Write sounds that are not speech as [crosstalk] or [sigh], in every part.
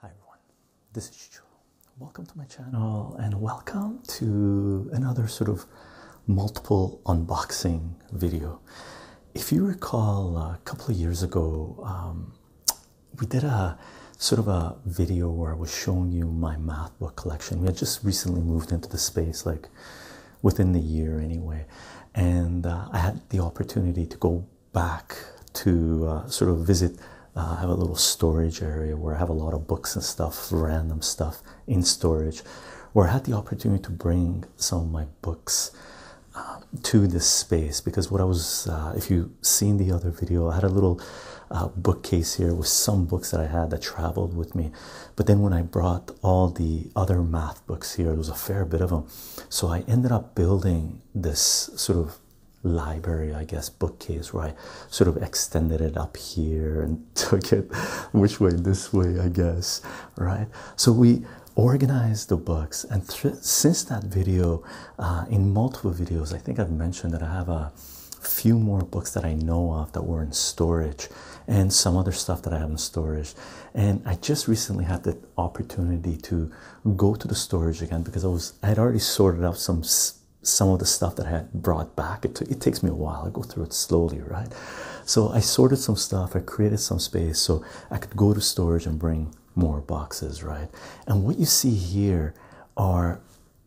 Hi everyone, this is Joe. Welcome to my channel and welcome to another sort of multiple unboxing video. If you recall, a uh, couple of years ago, um, we did a sort of a video where I was showing you my book collection. We had just recently moved into the space, like within the year anyway, and uh, I had the opportunity to go back to uh, sort of visit. Uh, I have a little storage area where I have a lot of books and stuff, random stuff in storage, where I had the opportunity to bring some of my books to this space because what I was, if you've seen the other video, I had a little bookcase here with some books that I had that traveled with me but then when I brought all the other math books here, there was a fair bit of them. So I ended up building this sort of library, I guess, bookcase where I sort of extended it up here and [laughs] took it which way this way, I guess, right? So we organized the books, and since that video, uh, in multiple videos, I think I've mentioned that I have a few more books that I know of that were in storage and some other stuff that I have in storage. And I just recently had the opportunity to go to the storage again because I was I had already sorted out some some of the stuff that I had brought back. It, takes me a while. I go through it slowly, right? So I sorted some stuff. I created some space so I could go to storage and bring more boxes, right? And what you see here are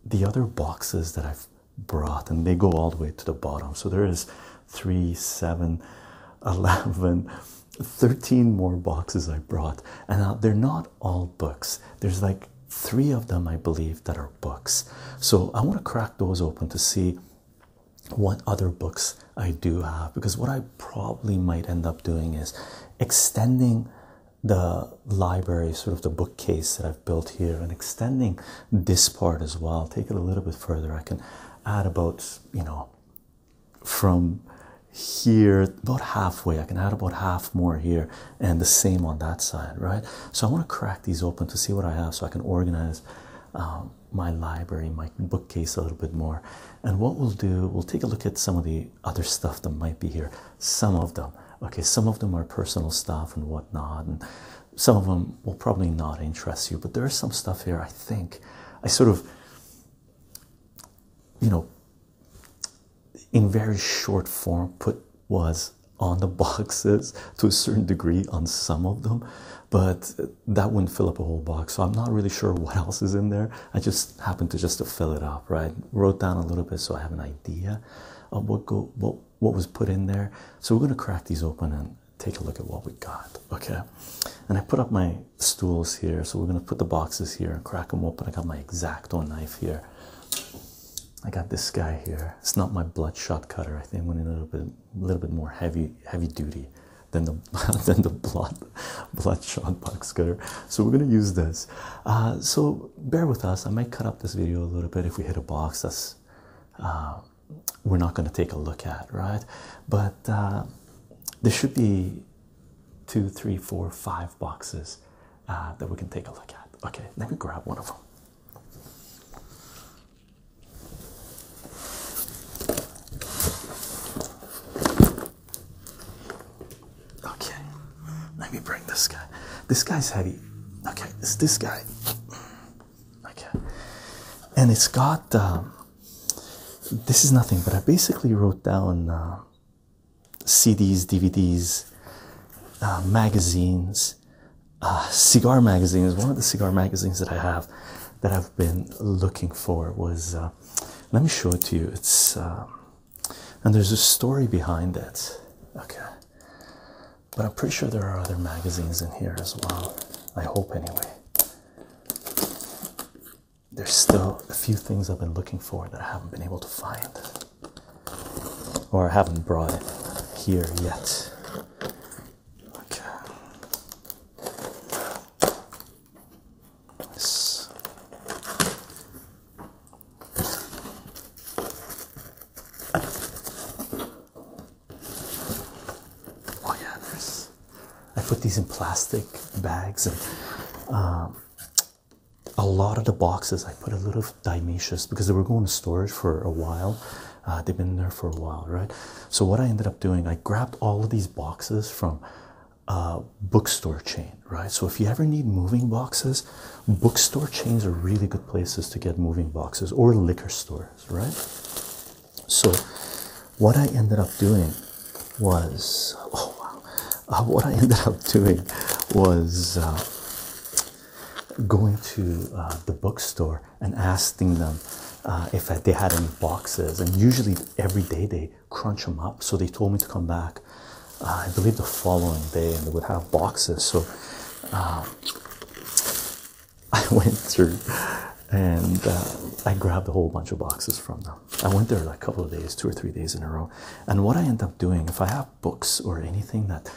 the other boxes that I've brought and they go all the way to the bottom so there is 3 [laughs] eleven, thirteen more boxes i brought and uh, they're not all books there's like three of them i believe that are books so i want to crack those open to see what other books i do have because what i probably might end up doing is extending the library sort of the bookcase that i've built here and extending this part as well take it a little bit further i can add about you know from here about halfway i can add about half more here and the same on that side right so i want to crack these open to see what i have so i can organize um, my library my bookcase a little bit more and what we'll do we'll take a look at some of the other stuff that might be here some of them okay some of them are personal stuff and whatnot and some of them will probably not interest you, but there is some stuff here. I think I sort of, you know, in very short form, put was on the [laughs] boxes to a certain degree on some of them, but that wouldn't fill up a whole box. So I'm not really sure what else is in there. I just happened to just to fill it up, right? Wrote down a little bit so I have an idea of what go what was put in there. So we're going to crack these open and take a look at what we got. Okay. And I put up my stools here. So we're going to put the boxes here and crack them open. I got my exacto knife here. I got this guy here. It's not my bloodshot cutter. I think I went a little bit, a little bit more heavy, heavy duty than the [laughs] than the blood, bloodshot box cutter. So we're gonna use this. Uh, so bear with us. I might cut up this video a little bit if we hit a box. That's uh, we're not going to take a look at, right? But uh, there should be two, three, four, five boxes uh, that we can take a look at. Okay, let me grab one of them. Okay, let me bring this guy. This guy's heavy. Okay, it's this guy. Okay, and it's got um, this is nothing, but I basically wrote down uh, CDs, DVDs, uh, magazines, uh, cigar magazines. One of the cigar magazines that I have that I've been looking for was. let me show it to you. It's um, and there's a story behind it. Okay, but I'm pretty sure there are other magazines in here as well. I hope, anyway. There's still a few things I've been looking for that I haven't been able to find, or I haven't brought it here yet. Okay. Oh yeah, I put these in plastic bags, and um, a lot of the boxes I put a little Dimetius because they were going to storage for a while. Uh, they've been there for a while, right? So what I ended up doing, I grabbed all of these boxes from a uh, bookstore chain, right? So if you ever need moving boxes, bookstore chains are really good places to get moving boxes or liquor stores right? So, what I ended up doing was oh wow, uh, what I [laughs] ended up doing was uh, going to uh, the bookstore and asking them if they had any boxes, and usually every day they crunch them up. So they told me to come back. I believe the following day, and they would have boxes. So. [laughs] I went through and uh, I grabbed a whole bunch of boxes from them. I went there like a couple of days, two or three days in a row. And what I end up doing, if I have books or anything that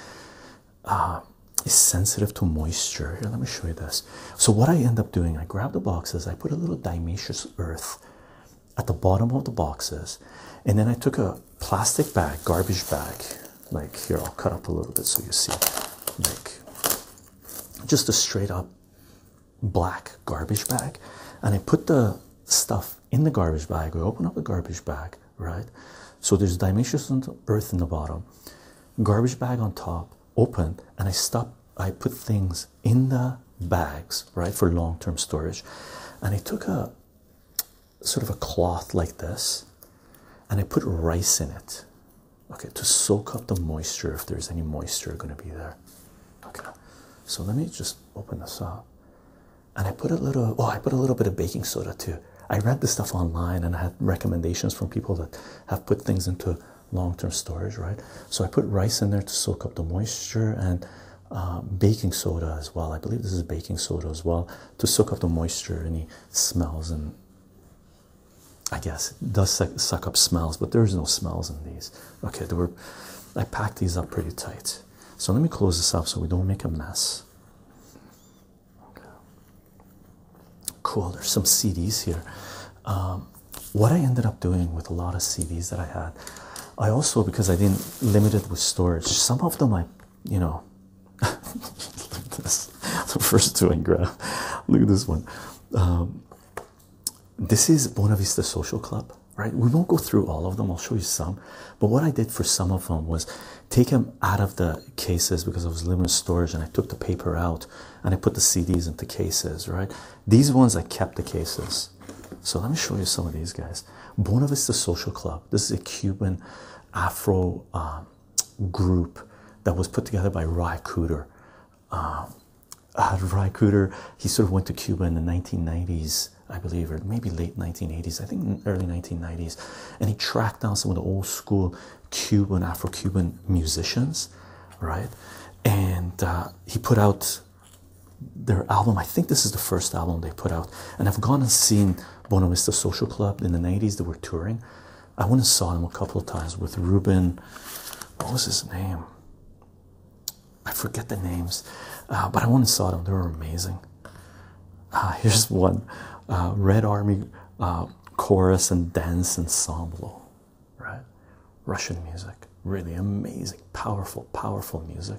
uh, is sensitive to moisture, here, let me show you this. So, what I end up doing, I grab the boxes, I put a little dimaceous earth at the bottom of the boxes, and then I took a plastic bag, garbage bag, like here i'll cut up a little bit so you see like just a straight up black garbage bag and i put the stuff in the garbage bag I open up the garbage bag right so there's dimensions on earth in the bottom garbage bag on top open and i stop i put things in the bags right for long-term storage and i took a sort of a cloth like this and i put rice in it okay to soak up the moisture if there's any moisture going to be there okay so let me just open this up and i put a little oh i put a little bit of baking soda too i read the stuff online and i had recommendations from people that have put things into long-term storage right so i put rice in there to soak up the moisture and uh, baking soda as well i believe this is baking soda as well to soak up the moisture and any smells and I guess it does suck up smells, but there's no smells in these. Okay, I packed these up pretty tight. So let me close this up so we don't make a mess. Cool, there's some CDs here. Um, what I ended up doing with a lot of CDs that I had, I also because I didn't limit it with storage, some of them I you know Look at this the first two I grabbed. Look at this one. Um, this is Bonavista Social Club, right? We won't go through all of them. I'll show you some, but what I did for some of them was take them out of the cases because I was limited storage, and I took the paper out and I put the CDs into cases, right? These ones I kept the cases. So let me show you some of these guys. Bonavista Social Club. This is a Cuban Afro um, group that was put together by Ry Cooter. Um, uh, Cooter, he sort of went to Cuba in the 1990s, I believe, or maybe late 1980s, I think early 1990s, and he tracked down some of the old school Cuban, Afro Cuban musicians, right? And uh, he put out their album. I think this is the first album they put out, and I've gone and seen Bonavista Social Club in the 90s, they were touring. I went and saw them a couple of times with Ruben. What was his name? I forget the names, uh, but I went and saw them. They were amazing. Uh, [laughs] here's one uh, Red Army chorus and dance ensemble, right? Russian music, really amazing, powerful, powerful music.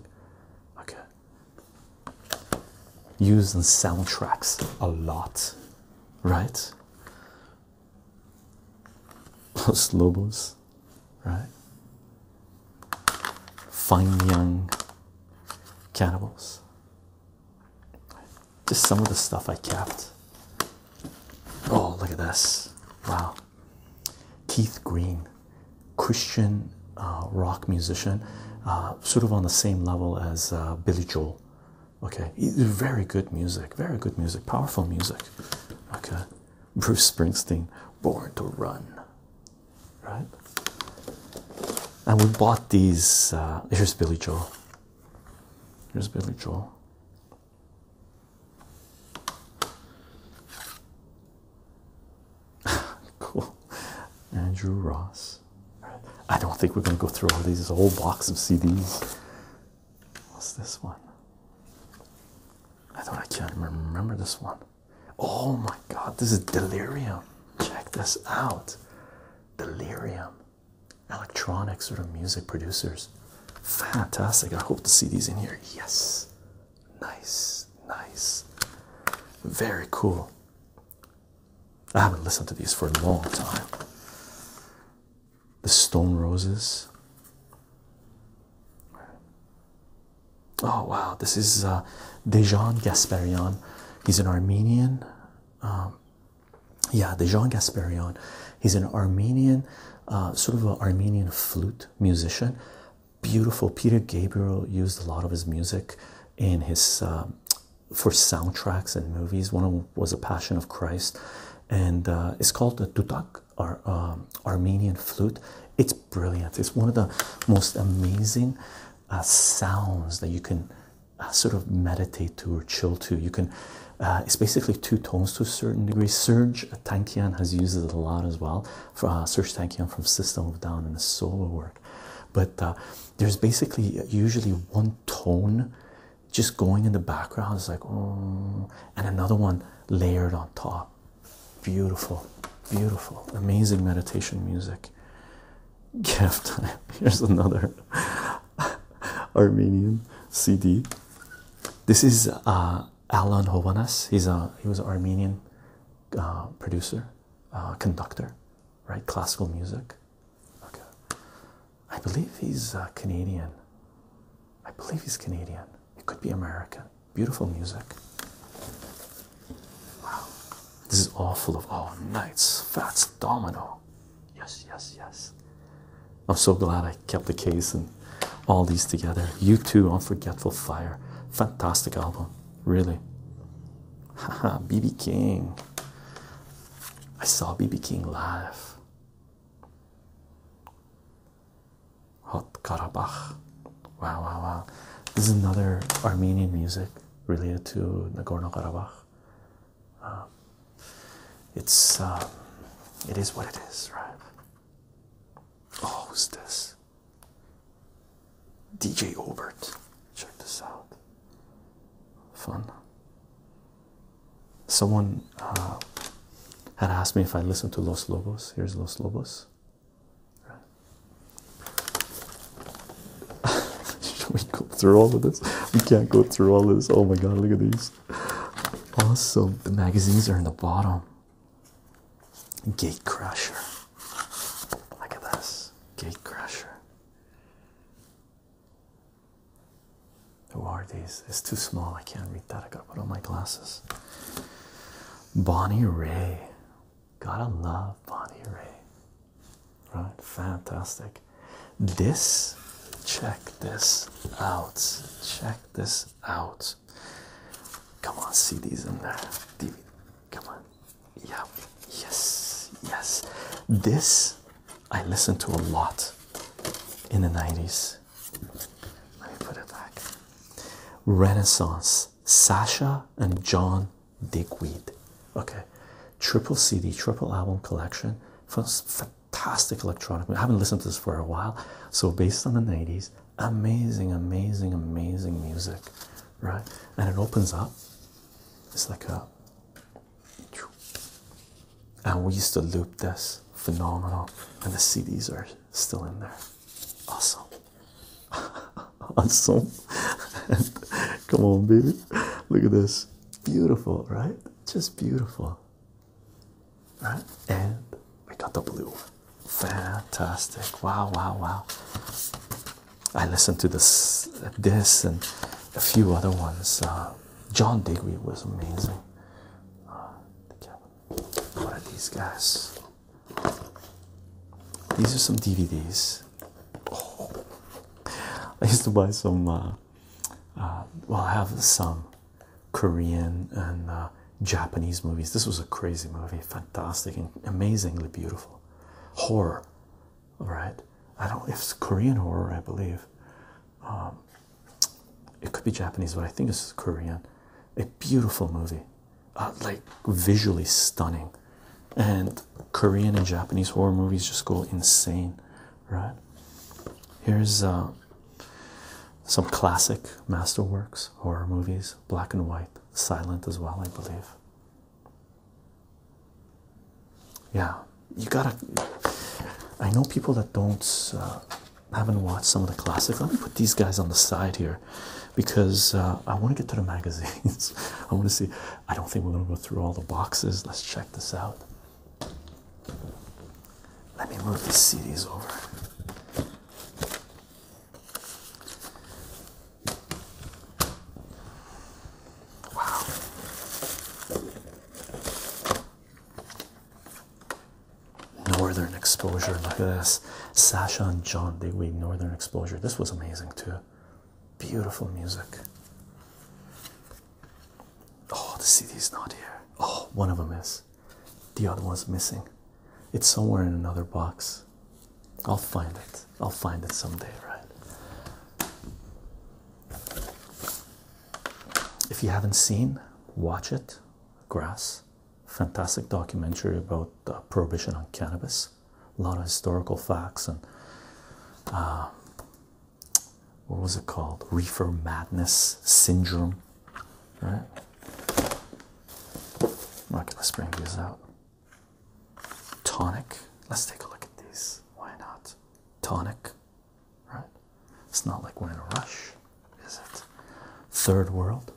Okay, used in soundtracks a lot right? those Lobos, right? Fine young cannibals. Just some of the stuff I kept. Oh, look at this! Wow, Keith Green, Christian uh, rock musician, uh, sort of on the same level as uh, Billy Joel. Okay, very good music, very good music, powerful music. Okay, Bruce Springsteen, Born to Run, right? And we bought these. Uh, here's Billy Joel. Here's Billy Joel. [laughs] cool. Andrew Ross. I don't think we're going to go through all these. There's a whole box of CDs. What's this one? I don't. I remember this one. Oh my God! This is Delirium. Check this out. Delirium. Electronic sort of music producers. Fantastic. I hope to see these in here. Yes. Nice. Nice. Very cool. I haven't listened to these for a long time the stone roses. Oh wow, this is uh, Dejan Gasparian. He's an Armenian. Um, yeah, Dejan Gasparian. He's an Armenian, uh, sort of an Armenian flute musician. Beautiful. Peter Gabriel used a lot of his music in his um, for soundtracks and movies. One of was A Passion of Christ, and uh, it's called the tutak, or um, Armenian flute. It's brilliant. It's one of the most amazing uh, sounds that you can uh, sort of meditate to or chill to. You can. it's basically two tones to a certain degree. Serge Tankian has used it a lot as well. For, Serge Tankian from System of Down in his solo work, but there's basically usually one tone just going in the background is like oh and another one layered on top beautiful beautiful amazing meditation music [laughs] gift time [laughs] here's another [laughs] armenian cd this is uh, alan hovanas he's a he was an armenian uh, producer uh, conductor right classical music Okay, I believe he's uh, Canadian. I believe he's Canadian. It could be American. Beautiful music. Wow, this is all full of all oh, nights. Fats Domino. Yes, yes, yes. I'm so glad I kept the case and all these together. You too, Unforgetful Fire. Fantastic album, really. Haha, [laughs] BB King. I saw BB King live. Hot Karabakh. Wow, wow, wow. This is another Armenian music related to Nagorno Karabakh. Um, it's um, it is what it is, right? Oh, who's this? DJ Obert. Check this out. Fun someone uh, had asked me if I listened to Los Lobos. Here's Los Lobos. [laughs] we go through all of this? We can't go through all this. Oh my god, look at these. Awesome. The magazines are in the bottom. Gate Crusher. Look at this. Gate Crusher. Who are these? It's too small. I can't read that. I gotta put on my glasses. Bonnie Ray. Gotta love Bonnie Ray. Right? Fantastic. This, check this out. Check this out. Come on, see these in there. DVD. Come on. Yeah. Yes. Yes. This I listened to a lot in the 90s. Let me put it back. Renaissance, Sasha and John Digweed. Okay, triple CD, triple album collection. Fantastic electronic. I haven't listened to this for a while. So, based on the 90s, amazing, amazing, amazing music, right? And it opens up. It's like a and we used to loop this phenomenal, and the CDs are still in there. Awesome, [laughs] awesome. [laughs] Come on, baby. Look at this. Beautiful, right? Just beautiful. Right? And we got the blue. Fantastic. Wow, wow, wow. I listened to this, this, and a few other ones. Uh, John Digweed was amazing. Oh, what are these guys? These are some DVDs. Oh. I used to buy some. Uh, uh, well, I have some Korean and uh, Japanese movies. This was a crazy movie, fantastic and amazingly beautiful horror. All right, I don't. It's Korean horror, I believe. Um, it could be Japanese, but I think it's Korean. A beautiful movie, uh, like visually stunning, and Korean and Japanese horror movies just go insane, right? Here's uh, some classic masterworks, horror movies, black and white, silent as well, I believe. Yeah, you gotta. I know people that don't uh, haven't watched some of the classics. Let me put these guys on the side here because uh, I want to get to the [laughs] magazines. I want to see. I don't think we're gonna go through all the boxes. Let's check this out. Let me move these CDs over. Wow. Northern Exposure. Look at this. Sasha and John Digweed, Northern Exposure. This was amazing too. Beautiful music. Oh, the is not here. Oh, one of them is. The other one's missing. It's somewhere in another box. I'll find it. I'll find it someday, right? If you haven't seen, watch it. Grass, fantastic documentary about uh, prohibition on cannabis. A lot of historical facts and uh, what was it called? Reefer madness syndrome, right? Okay, let's bring these out. Tonic. Let's take a look at these. Why not? Tonic right? It's not like we're in a rush, is it? Third world.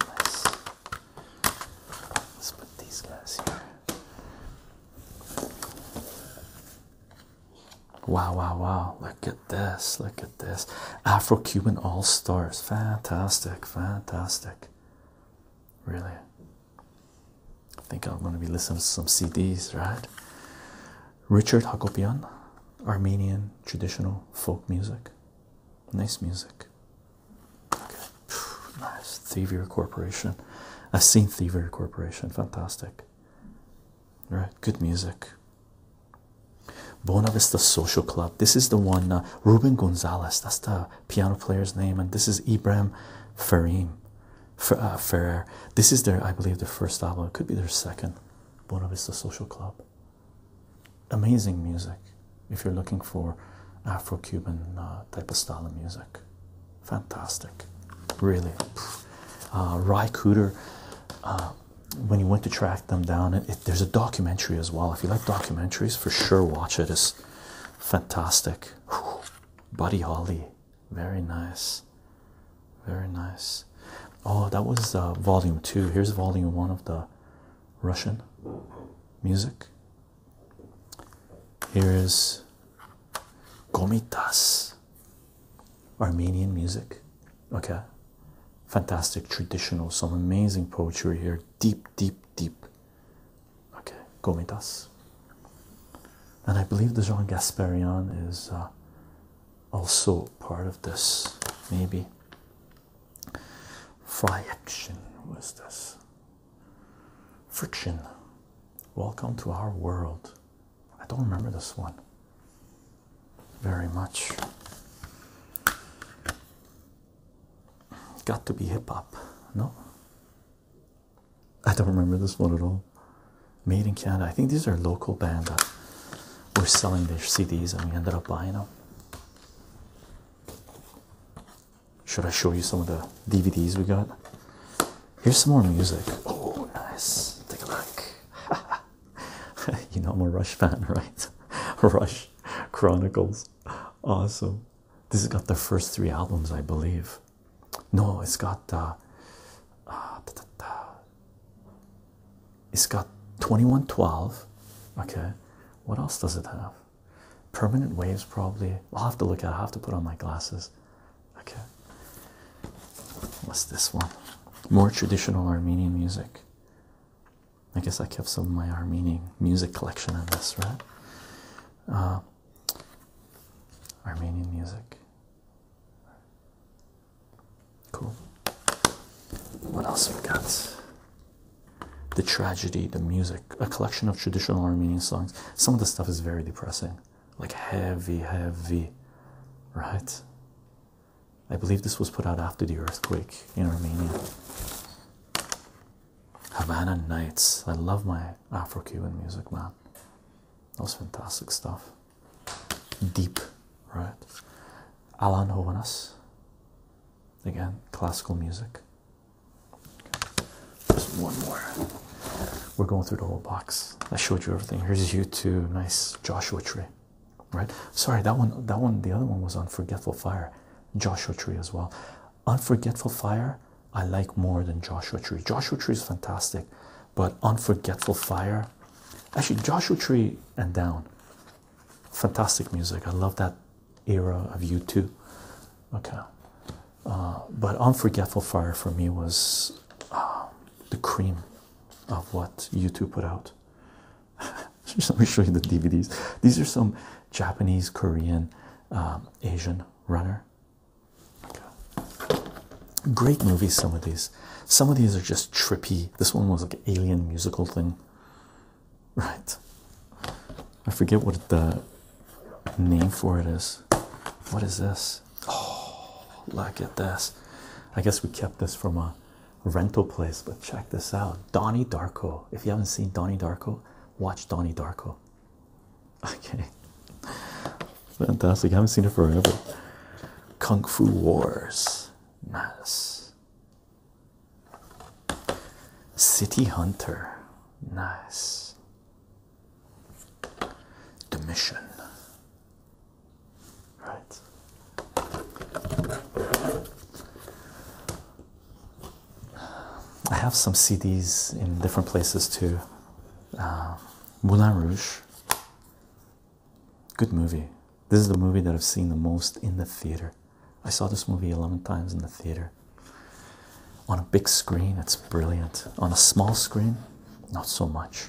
Let's put these guys here. Wow, wow, wow. Look at this. Look at this. Afro Cuban All Stars. Fantastic. Fantastic. Really. I think I'm going to be listening to some CDs, right? Richard Hakopian, Armenian traditional folk music. Nice music. Okay. Nice. Thievery Corporation. I've seen Thievery Corporation. Fantastic. Right. Good music. Bonavista Social Club. This is the one, uh, Ruben Gonzalez. That's the piano player's name. And this is Ibrahim Farim. Ferrer. Uh, this is their, I believe, their first album. It could be their second. Buena Vista Social Club. Amazing music. If you're looking for Afro-Cuban uh, type of style of music, fantastic. Really. Uh, Ry Cooter. Uh, when you went to track them down, it, there's a documentary as well. If you like documentaries, for sure watch it. It's fantastic. Buddy Holly, very nice. Very nice. Oh, that was uh, volume two. Here's volume one of the Russian music. Here is Gomitas, Armenian music. Okay, fantastic traditional, some amazing poetry here. Deep, deep, deep. Okay, Gomitas and I believe the Jean Gasparian is uh, also part of this. Maybe fry action. this? Friction. Welcome to our world. I don't remember this one very much. Got to be hip hop. No, I don't remember this one at all. Made in Canada. I think these are local band that were selling their CDs and we ended up buying them. Should I show you some of the DVDs we got? Here's some more music. Oh, nice. Take a look. [laughs] you know, I'm a Rush fan, [laughs] right? Rush Chronicles. Awesome. This has got the first three albums, I believe. No, it's got uh, ah, it's got 2112. Okay, what else does it have? Permanent waves, probably. I'll have to look at I have to put on my glasses. Okay, what's this one? More traditional Armenian music. I guess I kept some of my Armenian music collection in this, right? Uh, Armenian music. Cool. What else we got? The tragedy, the music, a collection of traditional Armenian songs. Some of the stuff is very depressing, like heavy, heavy, right? I believe this was put out after the earthquake in Armenia. Havana Nights. I love my Afro Cuban music, man. That was fantastic stuff. Deep, right? Alan Hovanas. Again, classical music. Just one more. We're going through the whole box. I showed you everything. Here's you two nice Joshua tree. Right? Sorry, that one that one the other one was Unforgetful Fire. Joshua Tree as well. Unforgetful Fire, I like more than Joshua Tree. Joshua Tree is fantastic but Unforgetful Fire. Actually, Joshua Tree and Down. Fantastic music. I love that era of U2. Okay. Uh, but Unforgetful Fire for me was um, the cream of what U2 put out. [laughs] let me show you the DVDs. These are some Japanese, Korean, um, Asian runner Great movies, some of these. Some of these are just trippy. This one was like alien musical thing. Right. I forget what the name for it is. What is this? Oh, look at this. I guess we kept this from a rental place, but check this out. Donnie Darko. If you haven't seen Donnie Darko, watch Donnie Darko. Okay, fantastic. I haven't seen it forever. Kung Fu Wars. Nice. City Hunter. Nice. Domitian. Right. I have some CDs in different places too. Uh, Moulin Rouge, Good movie. This is the movie that I've seen the most in the theater. I saw this movie 11 times in the theater. On a big screen, it's brilliant. On a small screen, not so much.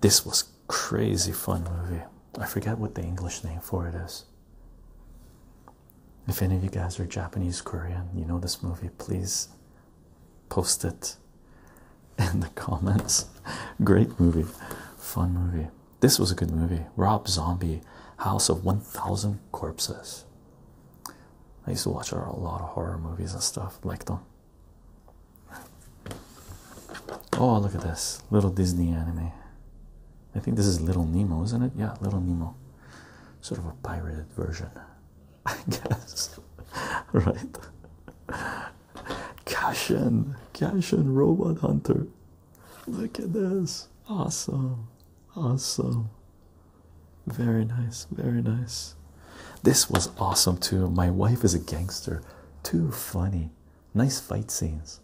This was crazy fun movie. I forget what the English name for it is. If any of you guys are Japanese, Korean, you know this movie, please post it in the comments. Great movie, fun movie. This was a good movie. Rob Zombie, House of 1000 Corpses. I used to watch a lot of horror movies and stuff, like them. Oh, look at this little Disney anime. I think this is Little Nemo, isn't it? Yeah, Little Nemo. Sort of a pirated version. I guess, [laughs] right? Cash in, robot hunter. Look at this, awesome, awesome, very nice, very nice. This was awesome too. My wife is a gangster, too funny, nice fight scenes,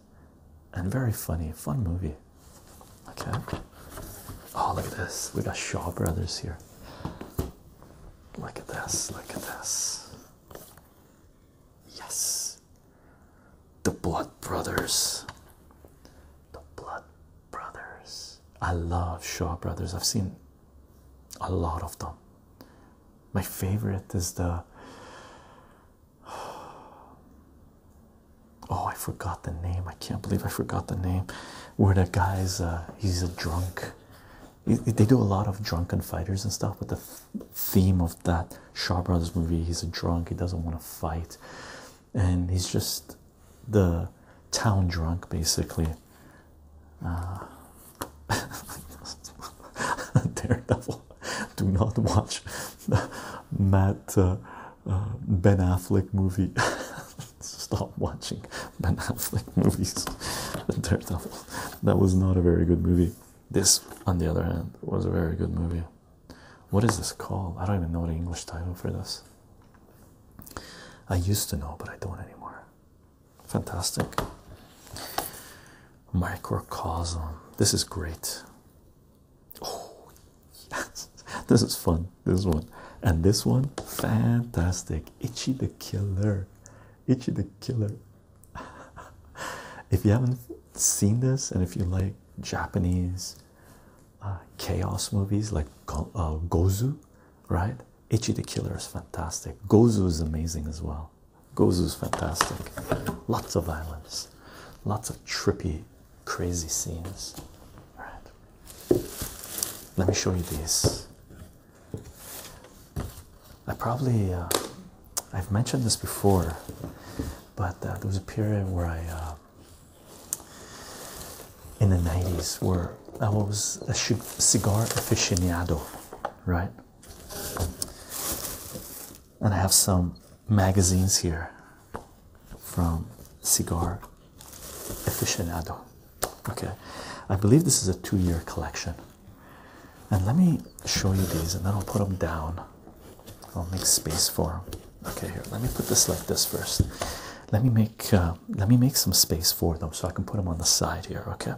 and very funny, fun movie. Okay. Oh, look at this. We got Shaw Brothers here. Look at this, look at this. Yes. The Blood Brothers. The Blood Brothers. I love Shaw Brothers. I've seen a lot of them. My favorite is the. [sighs] Oh, I forgot the name. I can't believe I forgot the name. Where the guy's, uh, he's a drunk they do a lot of drunken fighters and stuff, but the theme of that Shaw Brothers movie, he's a drunk, he doesn't want to fight, and he's just the town drunk basically. Uh, [laughs] Daredevil, do not watch [laughs] Matt uh, uh, Ben Affleck movie. [laughs] [laughs] stop watching Ben Affleck movies. [laughs] The Daredevil, that was not a very good movie. This, on the other hand, was a very good movie. What is this called? I don't even know the English title for this. I used to know, but I don't anymore. Fantastic. Microcosm. This is great. Oh, yes. [laughs] This is fun. This one. And this one, fantastic. Itchy the Killer killer. the killer. [laughs] if you haven't seen this, and if you like Japanese uh, chaos movies like uh, Gozu, right? Itchy the Killer is fantastic. Gozu is amazing as well. Gozu is fantastic. Lots of violence, lots of trippy, crazy scenes. All right. Let me show you these. I probably uh, I've mentioned this before, but uh, there was a period where I uh, in the nineties where I was a cigar aficionado, right? And I have some magazines here from Cigar Aficionado. Okay, I believe this is a two year collection. And let me show you these and then I'll put them down. I'll make space for them. Okay, here, let me put this like this first. Let me make uh, let me make some space for them so I can put them on the side here, okay?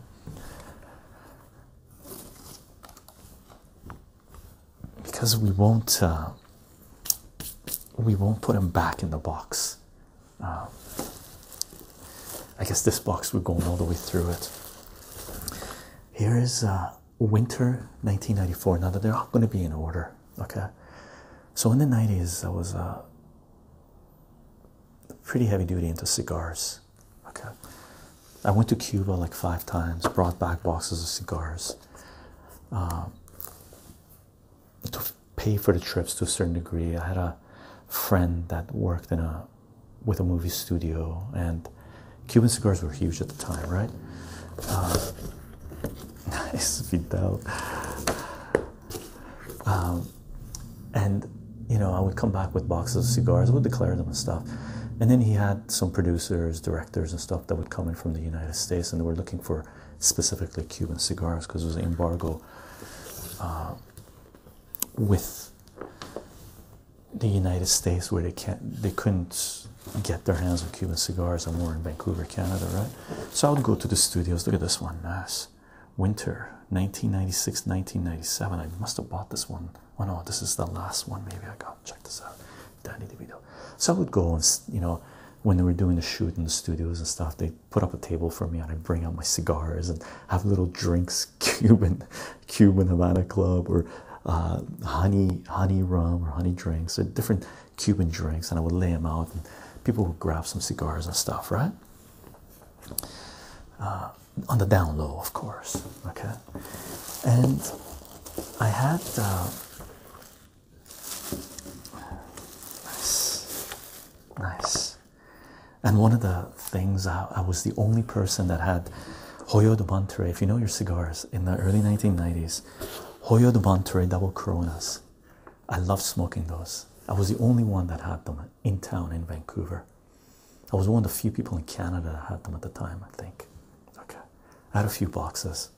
Because we won't uh, we won't put them back in the box um, I guess this box we're going all the way through it. Here is uh, winter 1994. Now that they're all going to be in order, okay. So in the 90s, I was uh, pretty heavy duty into cigars. Okay, I went to Cuba like five times, brought back boxes of cigars. Um, pay for the trips to a certain degree. I had a friend that worked in a with a movie studio, and Cuban cigars were huge at the time, right? Uh, [laughs] nice Fidel. Um, and you know, I would come back with boxes of cigars, I would declare them and stuff. And then he had some producers, directors, and stuff that would come in from the United States, and they were looking for specifically Cuban cigars because there was an embargo uh, with the United States, where they can't, they couldn't get their hands on Cuban cigars, and we're in Vancouver, Canada, right? So I would go to the studios. Look at this one, nice. Winter 1996, 1997. I must have bought this one. Oh no, this is the last one. Maybe I got. Check this out, Danny DeVito. So I would go and you know, when they were doing the shoot in the studios and stuff, they put up a table for me and I bring out my cigars and have little drinks, [laughs] Cuban Cuban Havana Club or uh, honey honey rum or honey drinks or different Cuban drinks, and I would lay them out and people would grab some cigars and stuff, right? Uh, on the down low, of course. Okay, and I had. Uh, nice, nice. And one of the things I, was the only person that had Hoyo de Bonterre. If you know your cigars in the early 1990s, Hoyo de Bonterre double Coronas. I loved smoking those. I was the only one that had them in town in Vancouver. I was one of the few people in Canada that had them at the time, I think. Okay. I had a few boxes.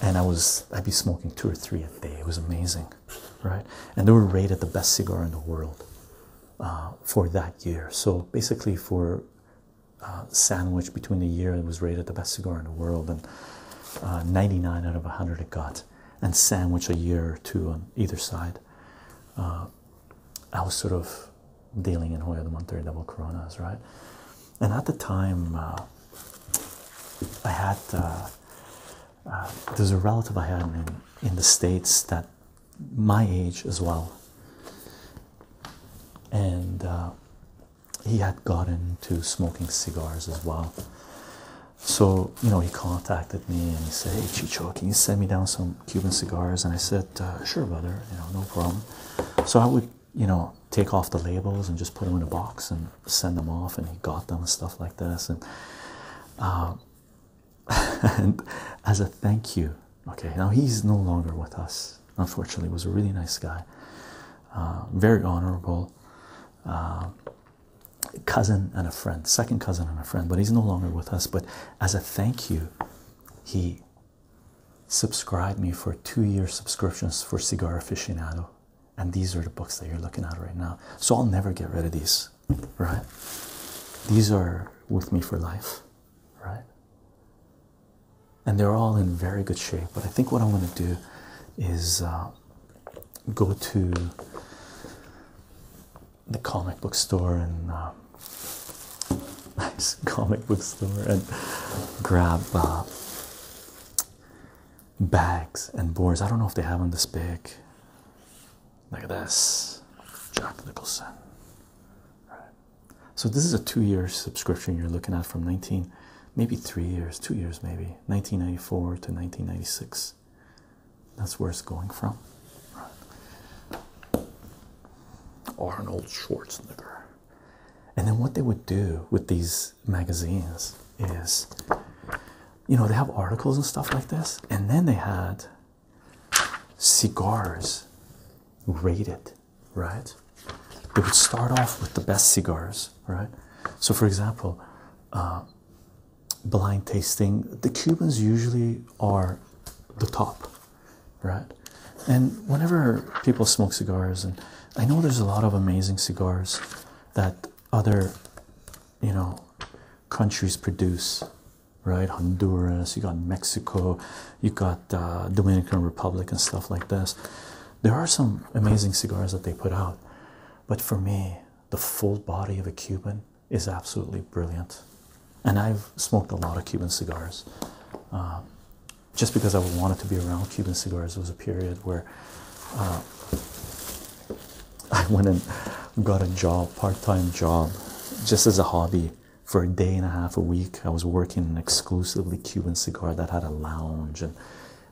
And I was I'd be smoking two or three a day. It was amazing right? And they were rated the best cigar in the world uh, for that year. So basically, for uh, sandwich between the year it was rated the best cigar in the world and uh, 99 out of 100 it got, and sandwich a year or two on either side. I was sort of dealing in Hoya the 130 double coronas, right? And at the time, I had uh, there's a relative I had in in the states that my age as well, and uh, he had gotten to smoking cigars as well. So you know he contacted me and he said, "Hey Chicho, can you send me down some Cuban cigars?" And I said, uh, "Sure, brother. You know, no problem." So I would you know take off the labels and just put them in a box and send them off, and he got them and stuff like this and and as a thank you okay now he's no longer with us unfortunately was a really nice guy uh, very honorable uh, cousin and a friend second cousin and a friend but he's no longer with us but as a thank you he subscribed me for two-year subscriptions for cigar aficionado and these are the books that you're looking at right now so i'll never get rid of these right? These are with me for life, right? And they're all in very good shape. But I think what I'm going to do is uh, go to the comic book store and uh, [laughs] nice comic book store and grab uh, bags and boards. I don't know if they have them this big. Like this, Jack Nicholson. Right. So this is a two-year subscription you're looking at from 19, maybe three years, two years maybe, 1994 to 1996. That's where it's going from. Arnold Schwarzenegger. And then what they would do with these magazines is, you know, they have articles and stuff like this, and then they had cigars rated, right? They would start off with the best cigars, right? So, for example, uh, blind tasting, the Cubans usually are the top, right? And whenever people smoke cigars, and I know there's a lot of amazing cigars that other, you know, countries produce right? Honduras, you got Mexico, you got uh, Dominican Republic, and stuff like this. There are some amazing cigars that they put out, but for me, the full body of a Cuban is absolutely brilliant. And I've smoked a lot of Cuban cigars. Uh, just because I wanted to be around Cuban cigars, it was a period where uh, I went and got a job, part-time job, just as a hobby for a day and a half a week. I was working exclusively Cuban cigar that had a lounge and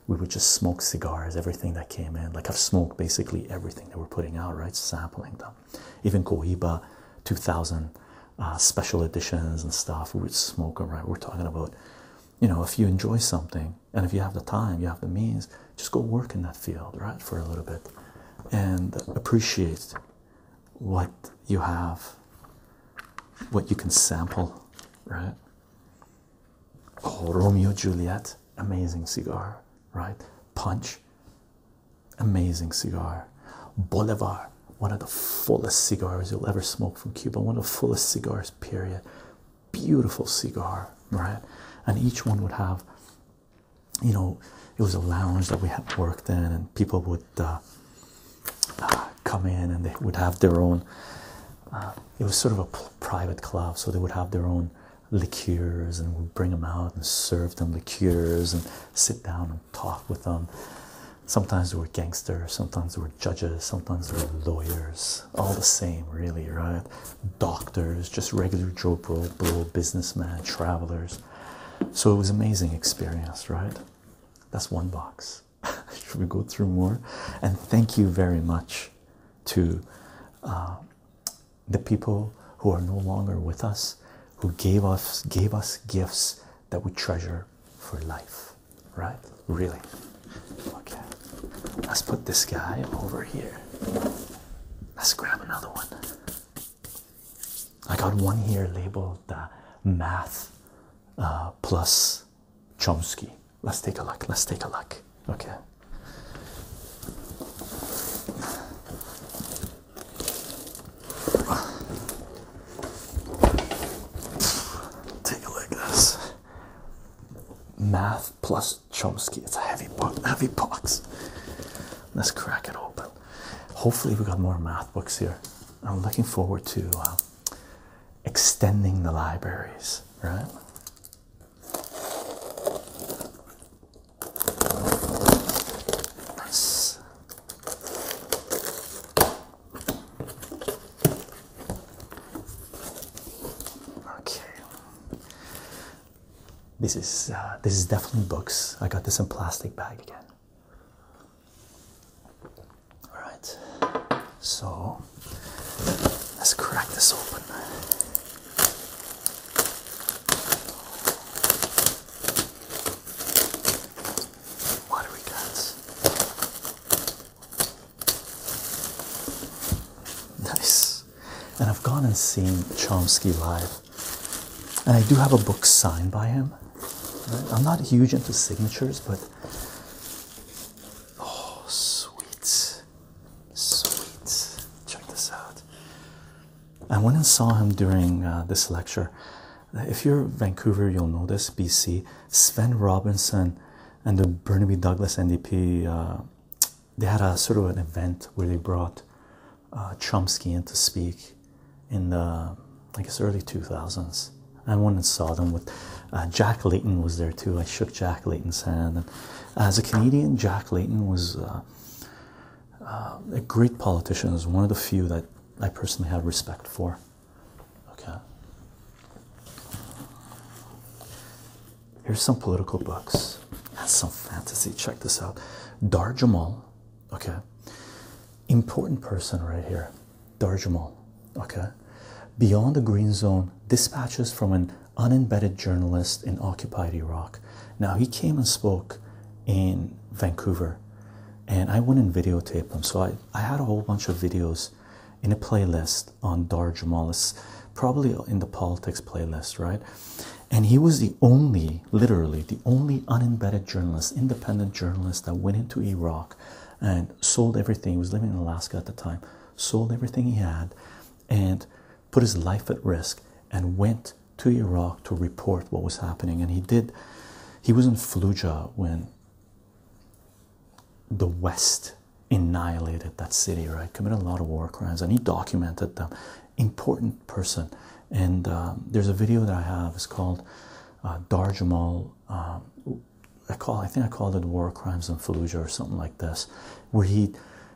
we would just smoke cigars, everything that came in. Like I've smoked basically everything that we're putting out, right? Sampling them. Even Cohiba 2000 uh, special editions and stuff, we would smoke them, right? We're talking about, you know, if you enjoy something and if you have the time, you have the means, just go work in that field, right, for a little bit and appreciate what you have, what you can sample, right? Oh, Romeo Juliet, amazing cigar, right? Punch, amazing cigar. Bolivar, one of the fullest cigars you'll ever smoke from Cuba, one of the fullest cigars, period. Beautiful cigar, right? And each one would have you know, it was a lounge that we had worked in, and people would uh, uh, come in and they would have their own. Uh, it was sort of a private club, so they would have their own liqueurs, and we'd bring them out and serve them liqueurs and sit down and talk with them. Sometimes they were gangsters, sometimes they were judges, sometimes they were lawyers. All the same, really, right? doctors, just regular Joe Bro, businessman, travelers. So it was amazing experience, right? That's one box. [laughs] Should we go through more? And thank you very much to uh, the people who are no longer with us, who gave us gave us gifts that we treasure for life, right? Really. Okay. Let's put this guy over here. Let's grab another one. I got one here labeled uh, math uh, plus Chomsky. Let's take a look. Let's take a look. Okay. Take a look at this. Math plus Chomsky. It's a heavy book. Heavy box. Let's crack it open. Hopefully, we got more math books here. I'm looking forward to uh, extending the libraries, right? Okay, this is uh, this is definitely books. I got this in plastic bag again. All right, so let's crack this open. What do we got? Nice. And I've gone and seen Chomsky live. And I do have a book signed by him. I'm not huge into signatures, but oh, sweet. Sweet. Check this out. I went and saw him during uh, this lecture. If you're Vancouver, you'll know this BC. Sven Robinson and the Burnaby Douglas NDP uh, they had a sort of an event where they brought uh, Chomsky in to speak in the I guess early 2000s. I went and saw them with uh, Jack Layton was there too. I shook Jack Layton's hand, as a Canadian, Jack Layton was uh, a great politician. Was one of the few that I personally have respect for. Okay. Here's some political books. That's some fantasy. Check this out. Dar Jamal okay important person right here darjamal okay beyond the green zone dispatches from an unembedded journalist in occupied iraq now he came and spoke in vancouver and i went and videotaped him so i, I had a whole bunch of videos in a playlist on darjamal it's probably in the politics playlist right and he was the only, literally, the only unembedded journalist, independent journalist that went into Iraq and sold everything. He was living in Alaska at the time, sold everything he had and put his life at risk and went to Iraq to report what was happening. And he did, he was in Fallujah when the West annihilated that city, right? Committed a lot of war crimes and he documented them. Important person and um, there's a video that I have. It's called uh, Dar Jamal. Um, I call I think I called it War Crimes in Fallujah or something like this, where he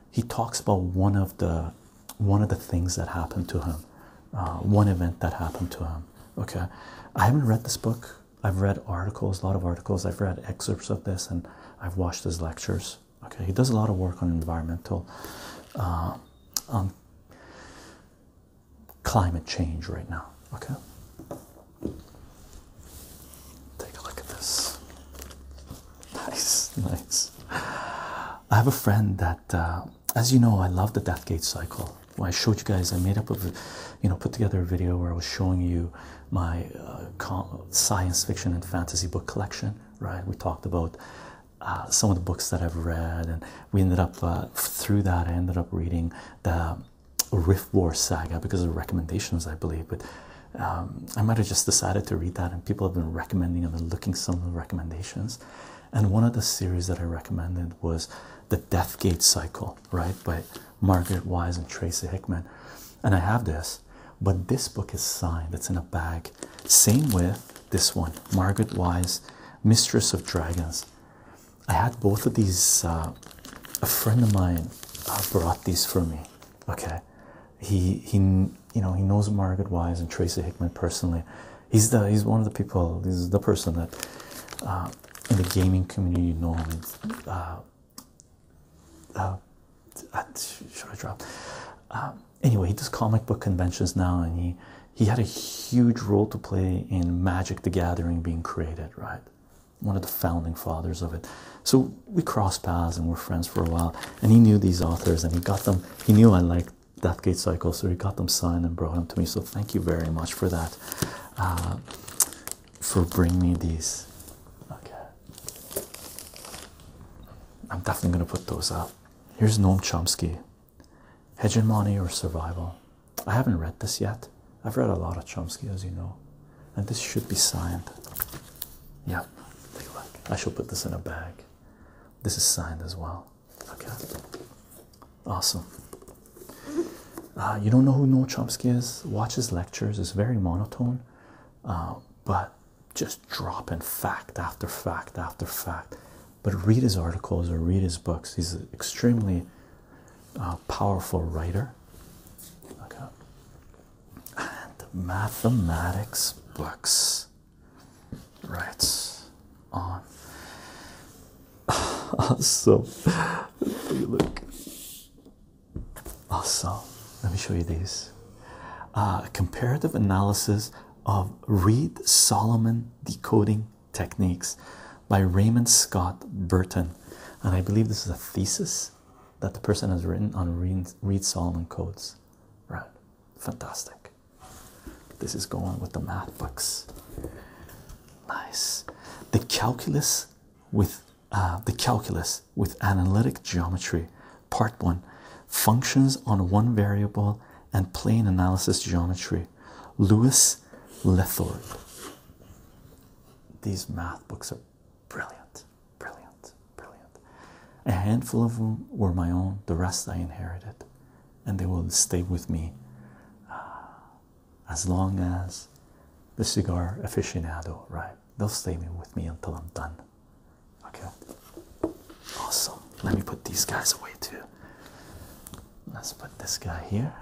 he talks about one of the one of the things that happened to him, uh, one event that happened to him. Okay, I haven't read this book. I've read articles, a lot of articles. I've read excerpts of this, and I've watched his lectures. Okay, he does a lot of work on environmental, uh, on climate change right now. Okay, take a look at this. Nice, nice. I have a friend that, uh, as you know, I love the death gate cycle. I showed you guys, I made up of, you know, put together a video where I was showing you my uh, science fiction and fantasy book collection. Right, we talked about uh, some of the books that I've read, and we ended up uh, through that. I ended up reading the Rift War saga because of recommendations, I believe. But um, I might have just decided to read that, and people have been recommending. and been looking some of the recommendations, and one of the series that I recommended was the Deathgate Cycle, right, by Margaret Wise and Tracy Hickman. And I have this, but this book is signed. It's in a bag same with this one, Margaret Wise, Mistress of Dragons. I had both of these. Uh, a friend of mine uh, brought these for me. Okay, he he you know he knows Margaret Wise and Tracy Hickman personally. He's the he's one of the people. This is the person that uh, in the gaming community you know. should I drop? Um, anyway, he does comic book conventions now, and he he had a huge role to play in Magic: The Gathering being created, right? One of the founding fathers of it. So we crossed paths and were friends for a while. And he knew these authors, and he got them. He knew I liked Gate Cycle, so he got them signed and brought them to me. So thank you very much for that, uh, for bringing me these. Okay. I'm definitely going to put those up. Here's Noam Chomsky, Hegemony or Survival. I haven't read this yet. I've read a lot of Chomsky, as you know, and this should be signed. Yep, take a look. I shall put this in a bag. This is signed as well. Okay, awesome. Uh, you don't know who Noam Chomsky is? Watches lectures, it's very monotone, uh, but just dropping fact after fact after fact but read his articles or read his books. He's an extremely uh, powerful writer. Okay. And mathematics books. Right on. [laughs] awesome. Look. Awesome. Let me show you these. Uh, comparative analysis of Reed Solomon Decoding Techniques by Raymond Scott Burton. And I believe this is a thesis that the person has written on Reed, Reed Solomon codes. Right. Fantastic. This is going with the math books. Nice. The calculus with uh, the calculus with analytic geometry, part one functions on one variable and plane analysis geometry lewis lethord these math books are brilliant brilliant brilliant a handful of them were my own the rest i inherited and they will stay with me uh, as long as the cigar aficionado right they'll stay with me until i'm done okay Awesome. Let me put these guys away too. Let's put this guy here.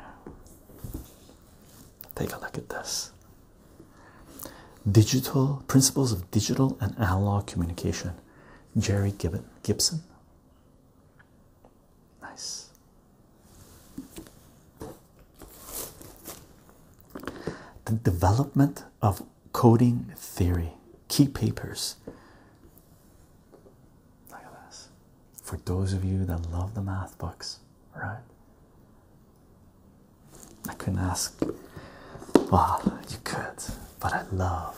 Take a look at this. Digital Principles of Digital and Analog Communication. Jerry Gibson. Nice. The development of coding theory. Key papers. Look at this. For those of you that love the math books, right? I couldn't ask. Well, you could, but I love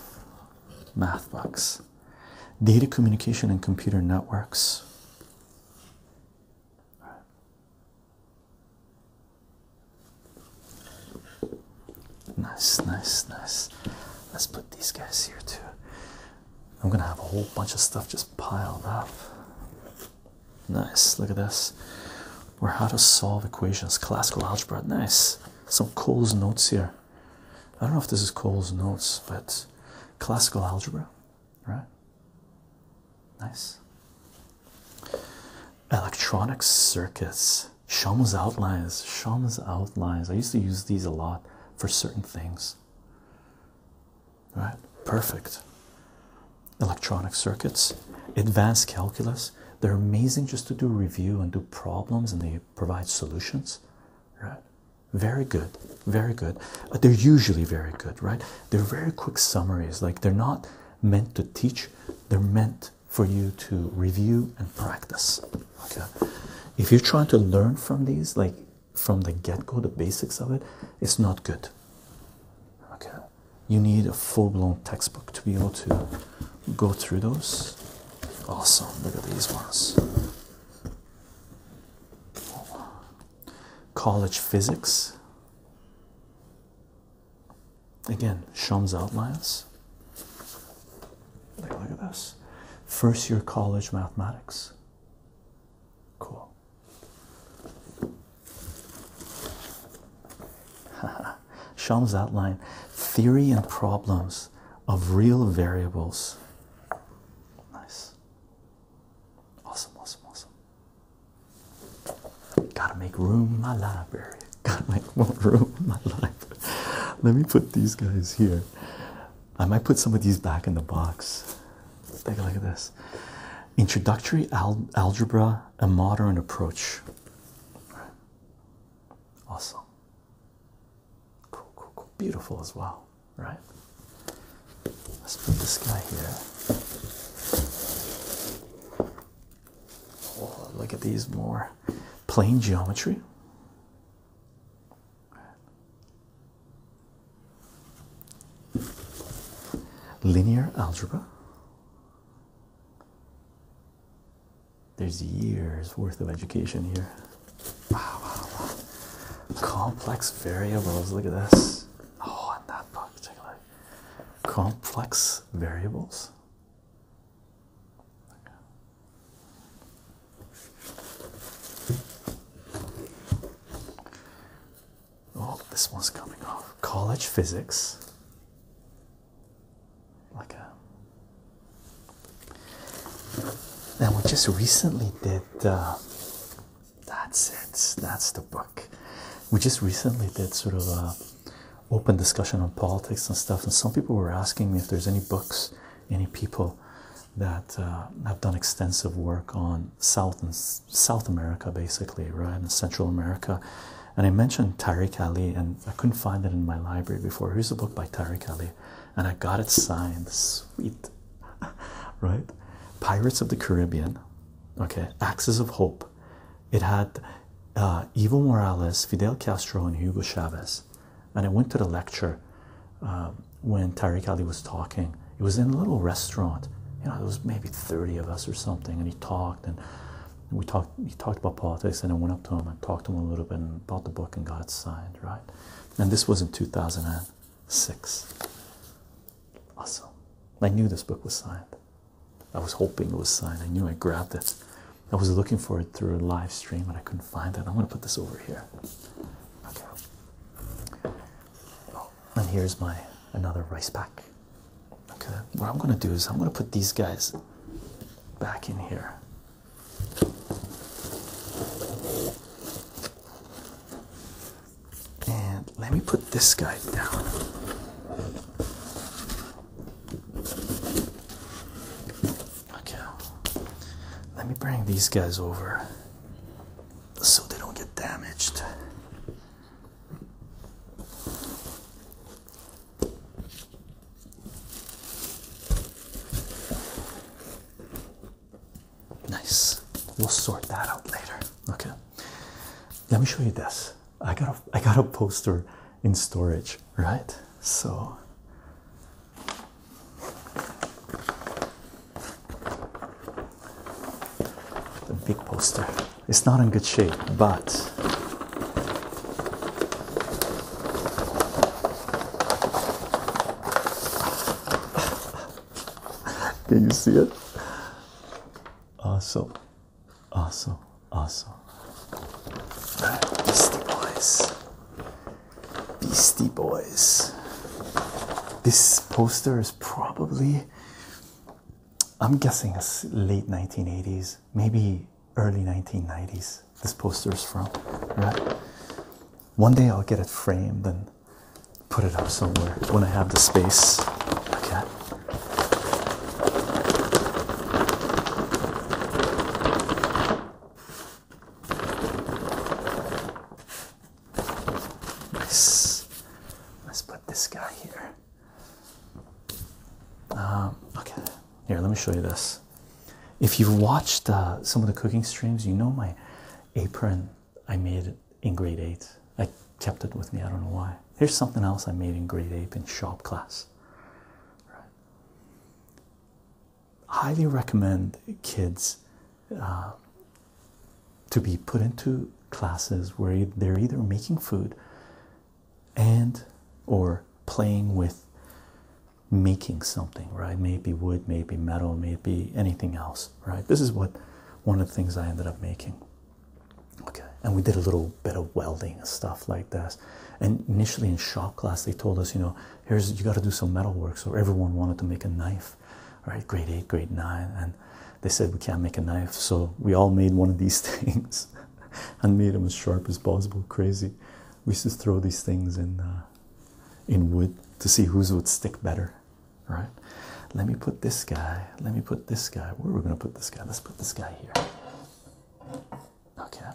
math books. Data communication and computer networks. Right. Nice, nice, nice. Let's put these guys here too. I'm gonna have a whole bunch of stuff just piled up. Nice, look at this. Or how to solve equations, classical algebra. Nice. Some Cole's notes here. I don't know if this is Cole's notes, but classical algebra, right? Nice. Electronic circuits this Shama's outlines. Shama's outlines. I used to use these a lot for certain things. Right. Perfect. Electronic circuits, advanced calculus. They're amazing just to do review and do problems, and they provide solutions. Right? Very good. Very good. Uh, they're usually very good, right? They're very quick summaries. Like they're not meant to teach, they're meant for you to review and practice. Okay, if you're trying to learn from these, like from the get go, the basics of it, it's not good. Okay, you need a full blown textbook to be able to go through those. Awesome, look at these ones. College physics. Again, Shum's outlines look at this. First year college mathematics. Cool. Shams [laughs] outline theory and problems of real variables. Nice. Awesome, awesome, awesome. Gotta make room in my library. [laughs] Gotta make room in my library. Let me put these guys here. I might put some of these back in the box. Take a look at this Introductory Algebra, a Modern Approach. Awesome. Cool, cool, cool. Beautiful as well, right? Let's put this guy here. Oh, look at these more plane geometry linear algebra. There's years worth of education here. Wow, Complex variables, look at this. Oh, and that book, particularly. Complex variables. Oh, this one's coming off. College physics. Like a and we just recently did uh, that's it, that's the book. We just recently did sort of a open discussion on politics and stuff, and some people were asking me if there's any books any people that uh, have done extensive work on South and South America, basically, right, and Central America. And I mentioned Tariq Ali, and I couldn't find it in my library before. Here's a book by Tariq Kelly? and I got it signed. Sweet, [laughs] right? Pirates of the Caribbean, okay, Axes of Hope. It had uh, Evo Morales, Fidel Castro, and Hugo Chavez. And I went to the lecture um, when Tariq Ali was talking. It was in a little restaurant. You know, there was maybe 30 of us or something, and he talked and we talked he talked about politics and I went up to him and talked to him a little bit and bought the book and got it signed, right? And this was in 2006. Awesome. I knew this book was signed. I was hoping it was signed. I knew I grabbed it. I was looking for it through a live stream but I couldn't find it. I'm going to put this over here. Okay. Oh, and here's my another rice pack. Okay. What I'm going to do is I'm going to put these guys back in here. And let me put this guy down. Okay. Let me bring these guys over so they don't get damaged. Nice. We'll sort that out later. Okay. Let me show you this. I got a I got a poster in storage, right? So the big poster. It's not in good shape, but [laughs] can you see it? Awesome, awesome, awesome. Beastie Boys. Beastie Boys. This poster is probably, I'm guessing, it's late 1980s, maybe early 1990s. This poster is from, right? One day I'll get it framed and put it up somewhere when I have the space. Okay. Let's put this guy here. Um, okay, here, let me show you this. If you've watched uh, some of the cooking streams, you know my apron I made it in grade 8. I kept it with me, I don't know why. Here's something else I made in grade 8 in shop class. Right highly recommend kids uh, to be put into classes where they're either making food and or playing with making something right maybe wood maybe metal maybe anything else right this is what one of the things i ended up making okay and we did a little bit of welding and stuff like this and initially in shop class they told us you know here's you got to do some metal work. So everyone wanted to make a knife, All right, Grade eight, grade nine, and they said we can't make a knife, so we all made one of these [laughs] things and made them as sharp as possible. Crazy. We just throw these things in uh, in wood to see whose would stick better, All right. Let me put this guy. Let me put this guy. Where are we gonna put this guy? Let's put this guy here. Okay.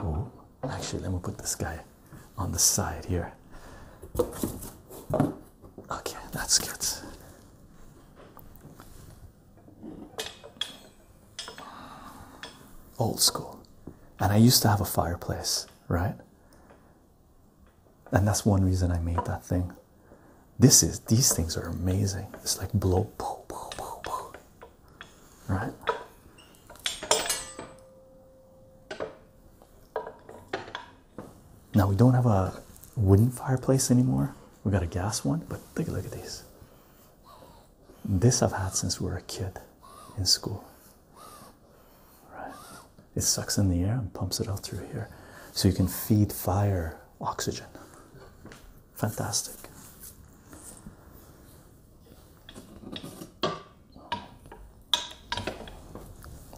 Oh. Actually, let me put this guy on the side here. Okay, that's good. Old school. And I used to have a fireplace, right? And that's one reason I made that thing. This is these things are amazing. It's like blow, poo, poo, poo, poo. right? Now we don't have a wooden fireplace anymore. We got a gas one, but take a look at these. This I've had since we were a kid in school. Right. It sucks in the air and pumps it out through here. So you can feed fire oxygen. Fantastic.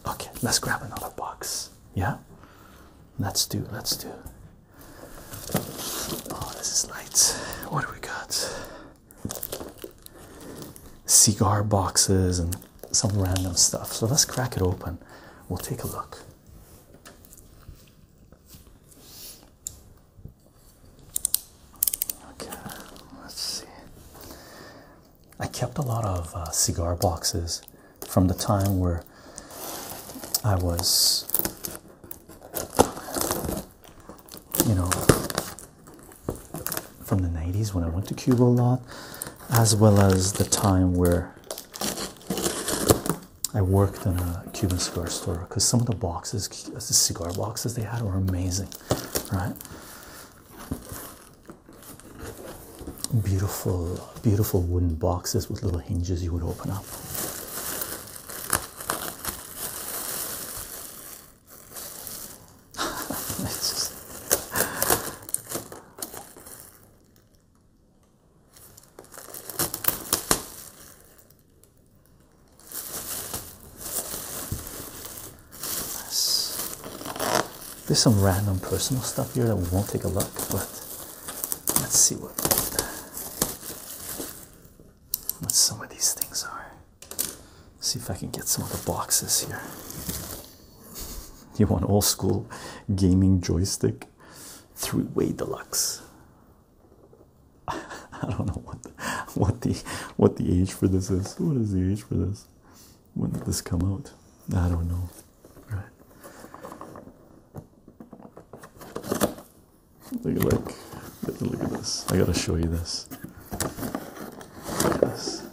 Okay, let's grab another box. Yeah, let's do, let's do. Oh, this is nice. What do we got? Cigar boxes and some random stuff. So let's crack it open. We'll take a look. Okay, let's see. I kept a lot of uh, cigar boxes from the time where I was, you know, from the 90s when I went to Cuba a lot, as well as the time where I worked in a Cuban cigar store because some of the boxes, the cigar boxes they had were amazing, right? Beautiful, beautiful wooden boxes with little hinges you would open up. [laughs] There's some random personal stuff here that we won't take a look, but let's see what what some of these things are. See if I can get some of the boxes here. You want old school gaming joystick, three-way deluxe. [laughs] I don't know what what the what the age for this is. What is the age for this? When did this come out? I don't know. Right. Look at like look at this. I gotta show you this. this.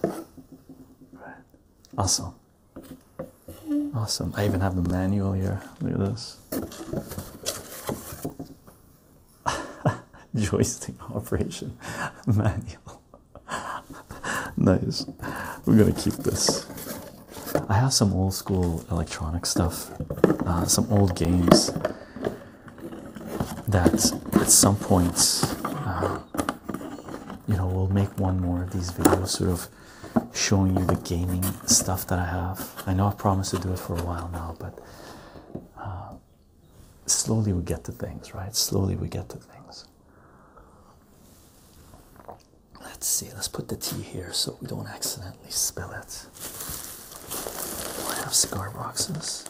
Right. Awesome. Awesome. I even have the manual here. Look at this. [laughs] joystick operation [laughs] manual. nice. We're gonna keep this. I have some old school electronic stuff, uh, some old games that at some point, uh, you know, we'll make one more of these videos, sort of showing you the gaming stuff that I have. I know I promised to do it for a while now, but uh, slowly we get to things, right? Slowly we get to things. Let's see, let's put the tea here so we don't accidentally spill it. I have cigar boxes?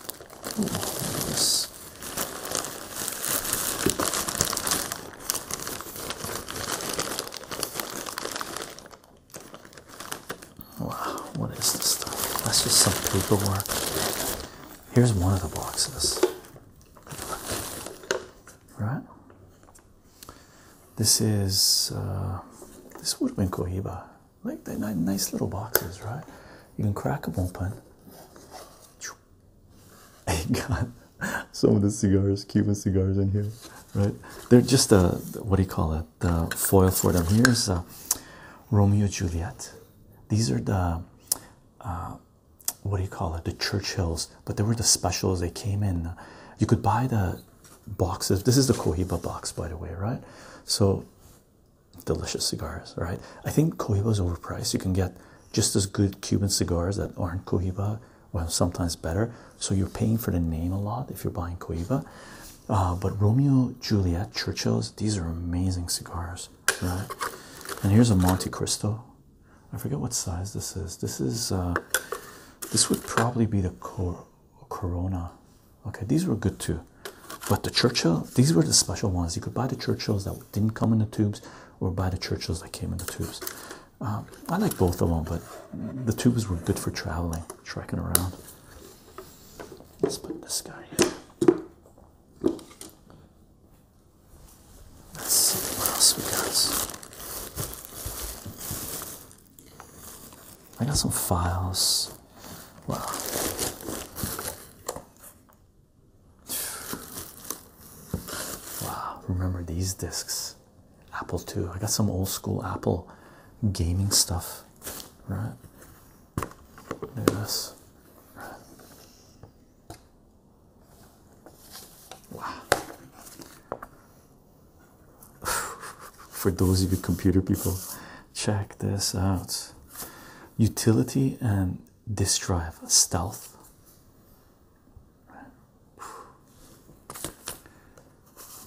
Ooh, Wow, what is this stuff? That's just some paperwork. Here's one of the boxes. Right? This is, uh, this would have been Cohiba. Like, they're nice little boxes, right? You can crack them open. I [laughs] got some of the cigars, Cuban cigars in here, right? They're just a, uh, what do you call it? The foil for them. Here's uh, Romeo Juliet these are the uh, what do you call it? The Churchills, but they were the specials. They came in. Uh, you could buy the boxes. This is the Cohiba box, by the way, right? So delicious cigars, right? I think Cohiba is overpriced. You can get just as good Cuban cigars that aren't Cohiba, well, sometimes better. So you're paying for the name a lot if you're buying Cohiba. Uh, but Romeo Juliet Churchills, these are amazing cigars. Right? And here's a Monte Cristo. I forget what size this is. This is uh, this would probably be the Cor Corona. Okay, these were good too. But the Churchill, these were the special ones. You could buy the Churchills that didn't come in the tubes, or buy the Churchills that came in the tubes. Um, I like both of them, but the tubes were good for traveling, trekking around. Let's put this guy here. Let's see what else we got. I got some files. Wow. Wow, remember these discs. Apple II. I got some old school Apple gaming stuff, right? Yes. Wow. [sighs] For those of you computer people, check this out. Utility and disk drive stealth.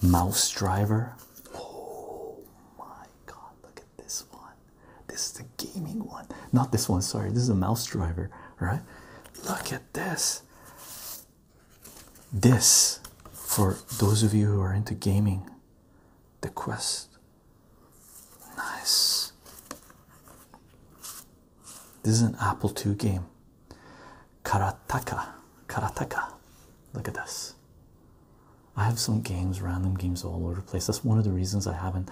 Mouse driver. Oh my god, look this one. This is the gaming one, not this one. Sorry, this is a mouse driver, right? Look at this. This, for those of you who are into gaming, the Quest. Nice. This is an Apple II game. Karataka. Karataka. Look at this. I have some games, random games all over the place. That's one of the reasons I haven't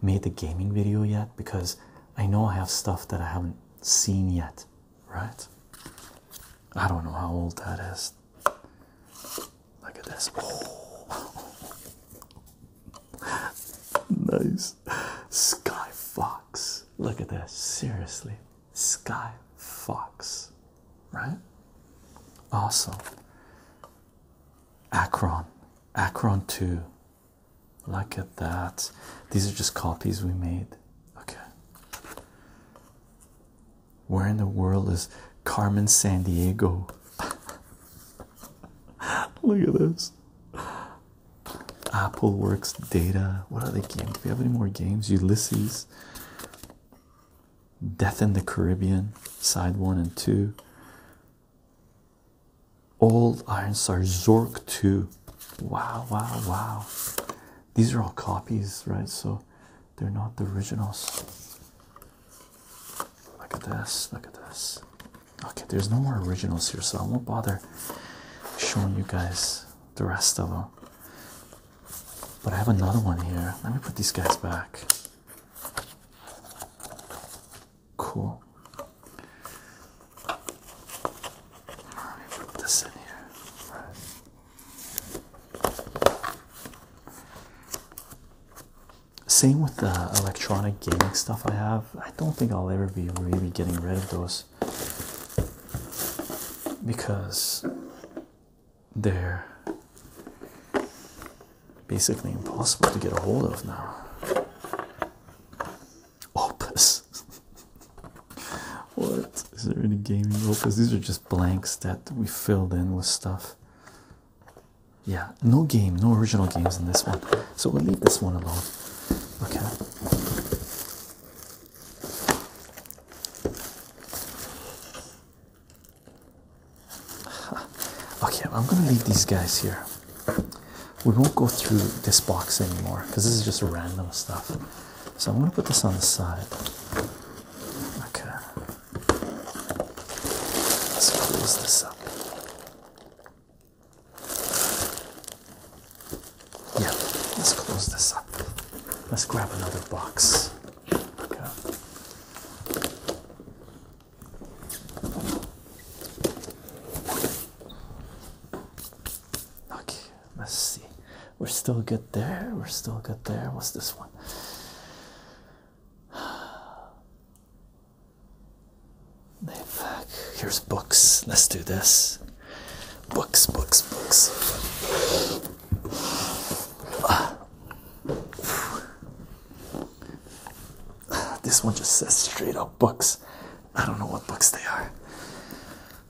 made the gaming video yet because I know I have stuff that I haven't seen yet, right? I don't know how old that is. Look at this. [laughs] nice. Sky Fox. Look at this. Seriously. Sky Fox. Right? Awesome. Akron Acron 2. Look at that. These are just copies we made. Okay. Where in the world is Carmen San Diego? [laughs] Look at this. Apple Works Data. What are the games? Do we have any more games? Ulysses. Death in the Caribbean, side one and two. Old are Zork 2. Wow, wow, wow. These are all copies, right? So they're not the originals. Look at this. Look at this. Okay, there's no more originals here, so I won't bother showing you guys the rest of them. But I have another one here. Let me put these guys back. Cool. Same with the electronic gaming stuff I have. I don't think I'll ever be really getting rid of those because they're basically impossible to get a hold of now. Opus. [laughs] what? Is there any gaming opus? These are just blanks that we filled in with stuff. Yeah, no game, no original games in this one. So we'll leave this one alone. Okay. [sighs] okay, I'm gonna leave these guys here. We won't go through this box anymore because this is just random stuff. So I'm gonna put this on the side. Okay, let's close this up. Yeah, let's close this up. Let's grab another box. Okay. Okay, let's see. We're still good there. We're still good there. What's this one? [sighs] back. Here's books. Let's do this. Books, books, books. Ah. This one just says straight up books. I don't know what books they are.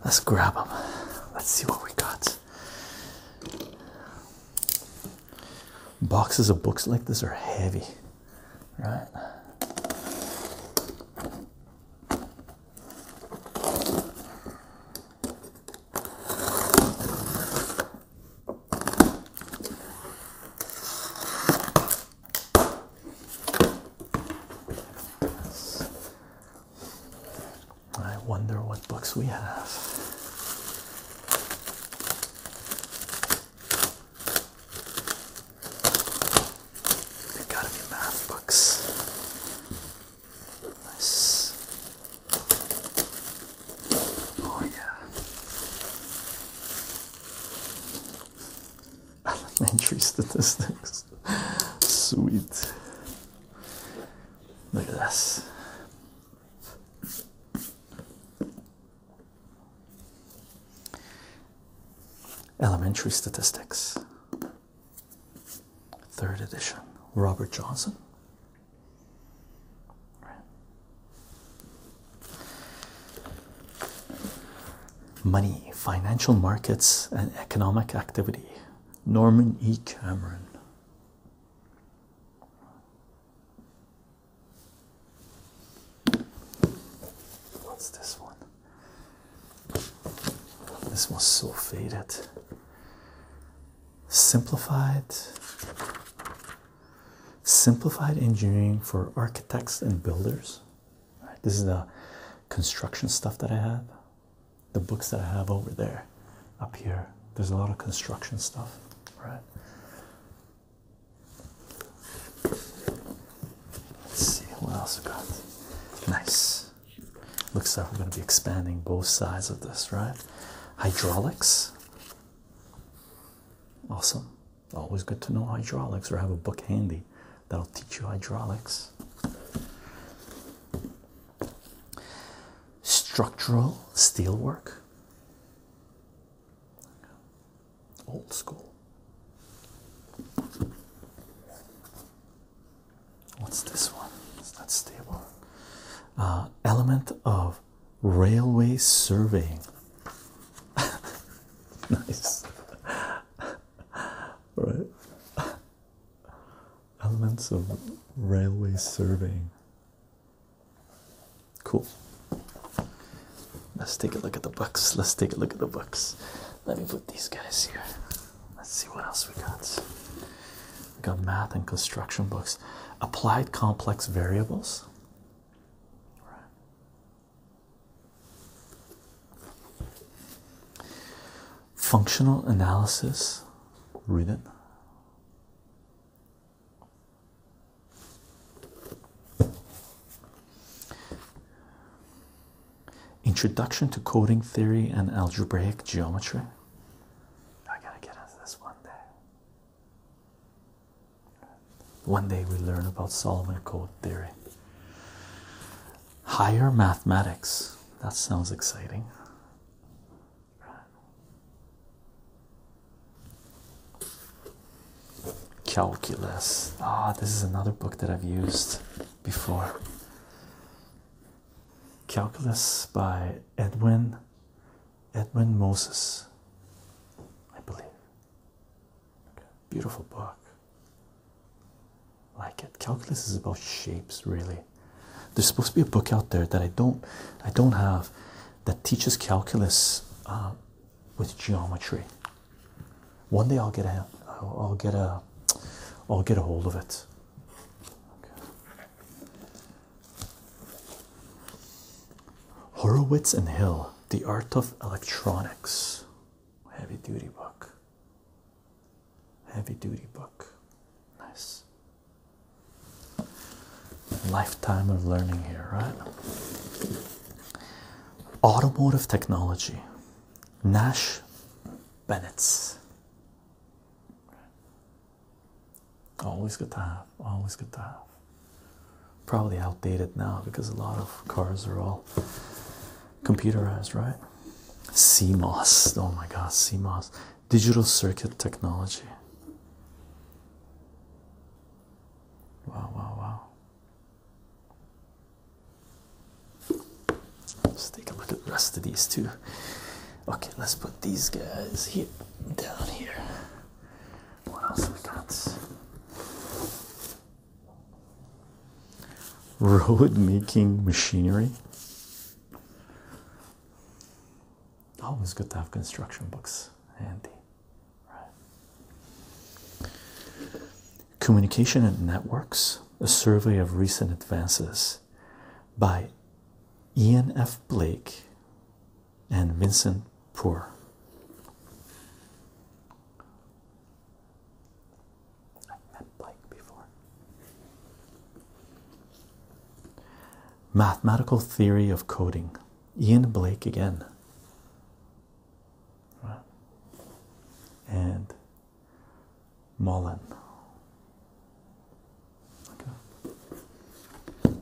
Let's grab them. Let's see what we got. Boxes of books like this are heavy, right? I wonder what books we have. They gotta be math books. Nice. Oh yeah. Elementary statistics. Sweet. Look at this. Elementary statistics. Third edition. Robert Johnson. Money, financial markets, and economic activity. Norman E. Cameron. What's this one? This one's so faded. Simplified Simplified engineering for architects and builders. this is the construction stuff that I have. The books that I have over there, up here. There's a lot of construction stuff, right? Let's see what else we got. Nice. Looks like we're going to be expanding both sides of this, right? Hydraulics. Awesome. Always good to know hydraulics or have a book handy that'll teach you hydraulics. Structural steelwork. Old school. What's this one? It's not stable. Uh, element of railway surveying. [laughs] nice. [laughs] right. Elements of railway surveying. Cool. Let's take a look at the books. Let's take a look at the books. Let me put these guys here. Let's see what else we got. We got math and construction books. Applied complex variables. Right. Functional analysis, read it. Introduction to Coding Theory and Algebraic Geometry. I gotta get into this one day. One day we learn about Solomon Code theory. Higher mathematics. That sounds exciting. Calculus. Ah, this is another book that I've used before. Calculus by Edwin Edwin Moses, I believe. Beautiful book. Like it. Calculus is about shapes, really. There's supposed to be a book out there that I don't, I don't have, that teaches calculus uh, with geometry. One day I'll get a, I'll get a, I'll get a hold of it. Horowitz and Hill, The Art of Electronics. Heavy duty book. Heavy duty book. Nice. Lifetime of learning here, right? Automotive technology. Nash Bennett's. Always good to have. Always good to have. Probably outdated now because a lot of cars are all computerized, right? CMOS. Oh my God, CMOS. Digital circuit technology. Wow, wow, wow. Let's take a look at the rest of these too. Okay, let's put these guys here down here. What else we got? road making machinery. Always good to have construction books handy. Communication and Networks A Survey of Recent Advances by Ian F. Blake and Vincent poor. I met Blake before. Mathematical theory of coding. Ian Blake again. And Mullen. Okay.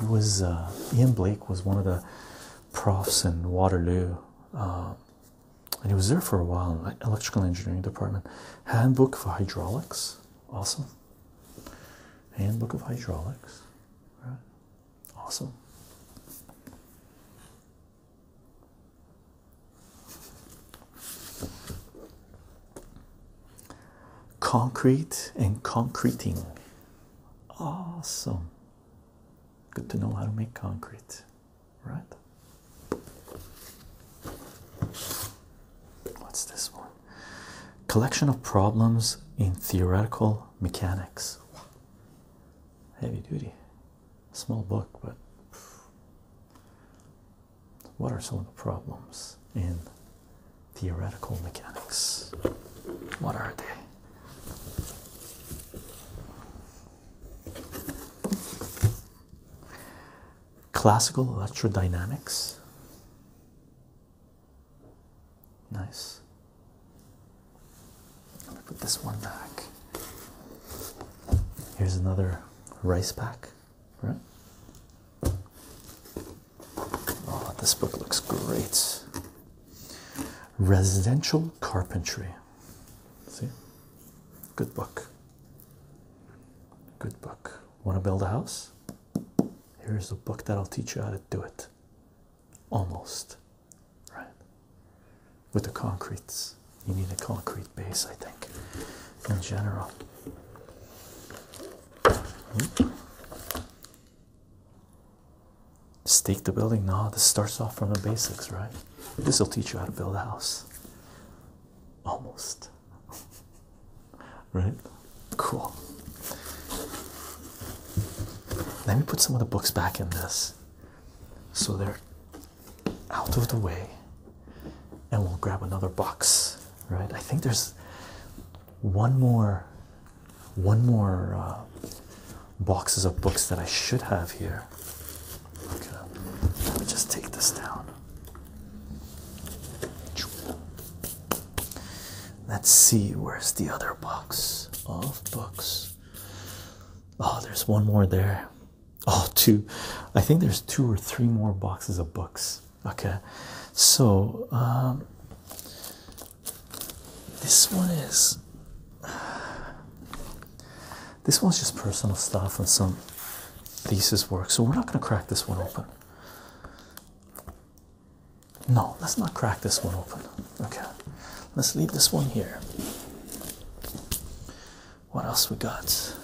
He was uh, Ian Blake was one of the profs in Waterloo, uh, and he was there for a while in the electrical engineering department. Handbook for hydraulics, awesome. Handbook of hydraulics, right? Awesome. Concrete and concreting. Awesome. Good to know how to make concrete, right? What's this one? Collection of problems in theoretical mechanics. Heavy duty. Small book, but what are some of the problems in theoretical mechanics? What are they? Classical electrodynamics. Nice. Put this one back. Here's another rice pack, right? Oh, this book looks great. Residential Carpentry. See? Good book. Good book. Want to build a house? Here's a book that'll teach you how to do it. Almost. Right? With the concretes. You need a concrete base, I think, in general. Hmm? stake the building now this starts off from the basics right this will teach you how to build a house almost [laughs] right cool let me put some of the books back in this so they're out of the way and we'll grab another box right i think there's one more one more uh, boxes of books that I should have here. Okay, let me just take this down. Let's see, where's the other box of books? Oh, there's one more there. Oh, two. I think there's two or three more boxes of books. Okay, so um, this one is. This one's just personal stuff and some thesis work, so we're not going to crack this one open. No, let's not crack this one open. Okay, let's leave this one here. What else we got?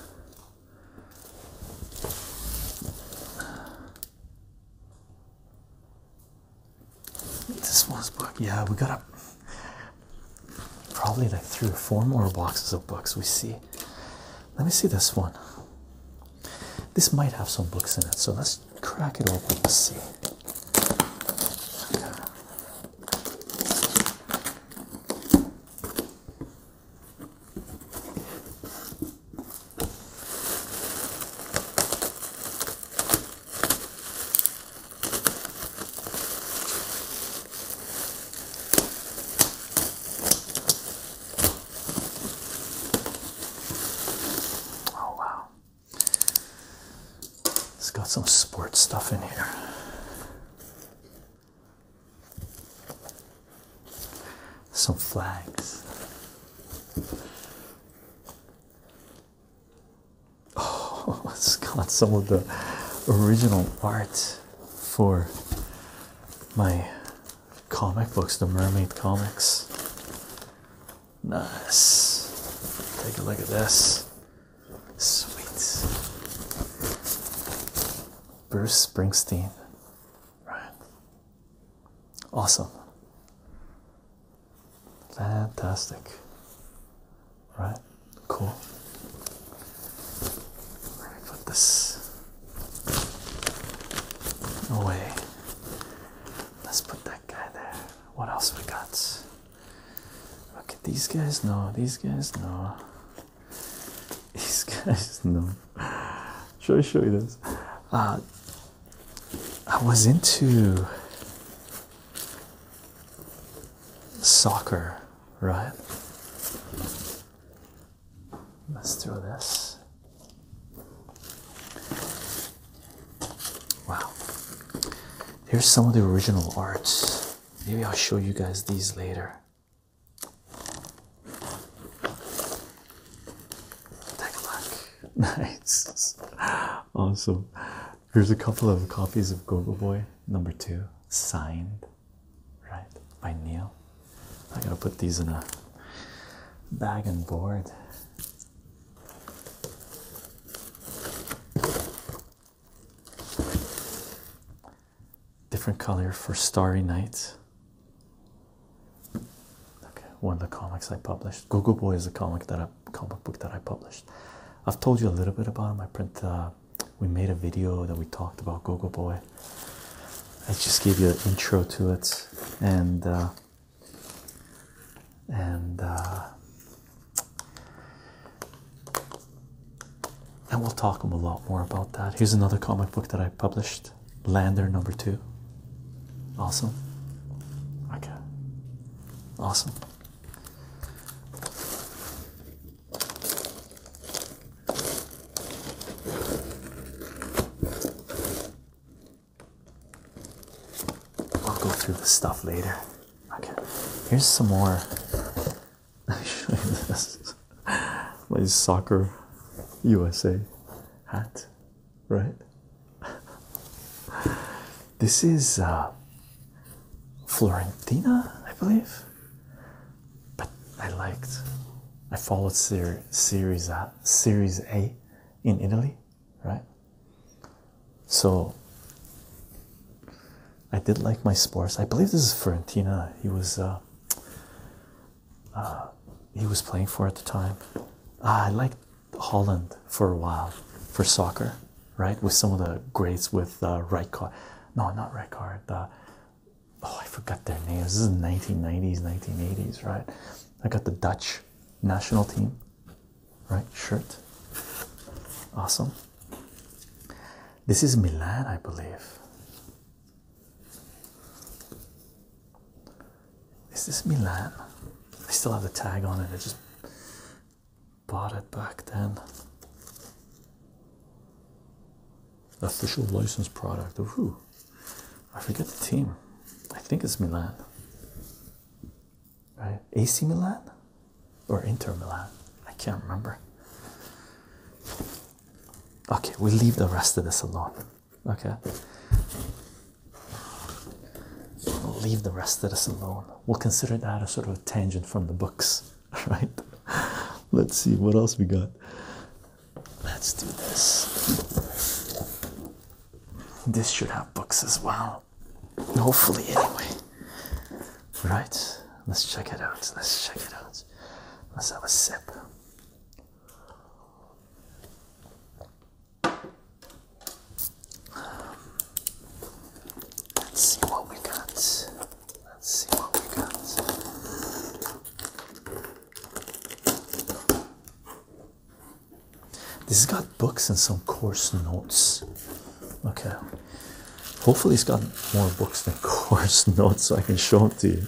This one's book, yeah. We got probably like three or four more boxes of books. We see. Let me see this one. This might have some books in it, so let's crack it open and see. Oh, wow. It's got some sports stuff in here. Some flags. Oh, [laughs] it's got some of the original art for my comic books, the Mermaid comics. Nice. Take a look at this. Sweet. Bruce Springsteen. Right. Awesome. Fantastic. Right? Cool. Let me put this away. Let's put that guy there. What else we got? Look at these guys no, these guys no. [laughs] These guys no. Should I show you this? Uh, I was into soccer, right? Let's throw this. Wow. Here's some of the original arts. Maybe I'll show you guys these later. Take a look. [laughs] Nice. Awesome. Here's a couple of copies of Gogo Boy number two, signed, right by Neil. I gotta put these in a bag and board. Different color for Starry Nights. Okay, one of the comics I published. Gogo Boy is a comic that I comic book that I published. I've told you a little bit about him. I print. Uh, we made a video that we talked about Gogo Boy. I just gave you an intro to it, and uh, and uh, and we'll talk a lot more about that. Here's another comic book that I published, Lander Number Two. Awesome. Okay. Awesome. I'll go through the stuff later. Okay, here's some more. [laughs] Let me show you this. My soccer USA hat, right? This is uh, Florentina, I believe. But I liked. I followed ser series A, uh, series A, in Italy, right? So I did like my sports. I believe this is Florentina. He was uh, he was playing for at the time. Ah, I liked Holland for a while for soccer right? With some of the greats with uh, no, not right oh, I forgot their names. This is 1990s, 1980s, right? I got the Dutch national team, right? Shirt, awesome. This is Milan, I believe. This Is Milan? I still have the tag on it. It just bought it back then. Official licensed product of who? I forget the team. I think it's Milan. Right? AC Milan or Inter Milan? I can't remember. Okay, we leave the rest of this alone. Okay. leave the rest of this alone we'll consider that a sort of a tangent from the books, [laughs] right? Let's see what else we got. Let's do this. This should have books as well. Hopefully, anyway. Right? Let's check it out. Let's check it out. Let's have a sip let's see what we got. Let's see what we got. This has got books and some course notes. Okay. Hopefully, it's got more books than [laughs] course notes so I can show them to you.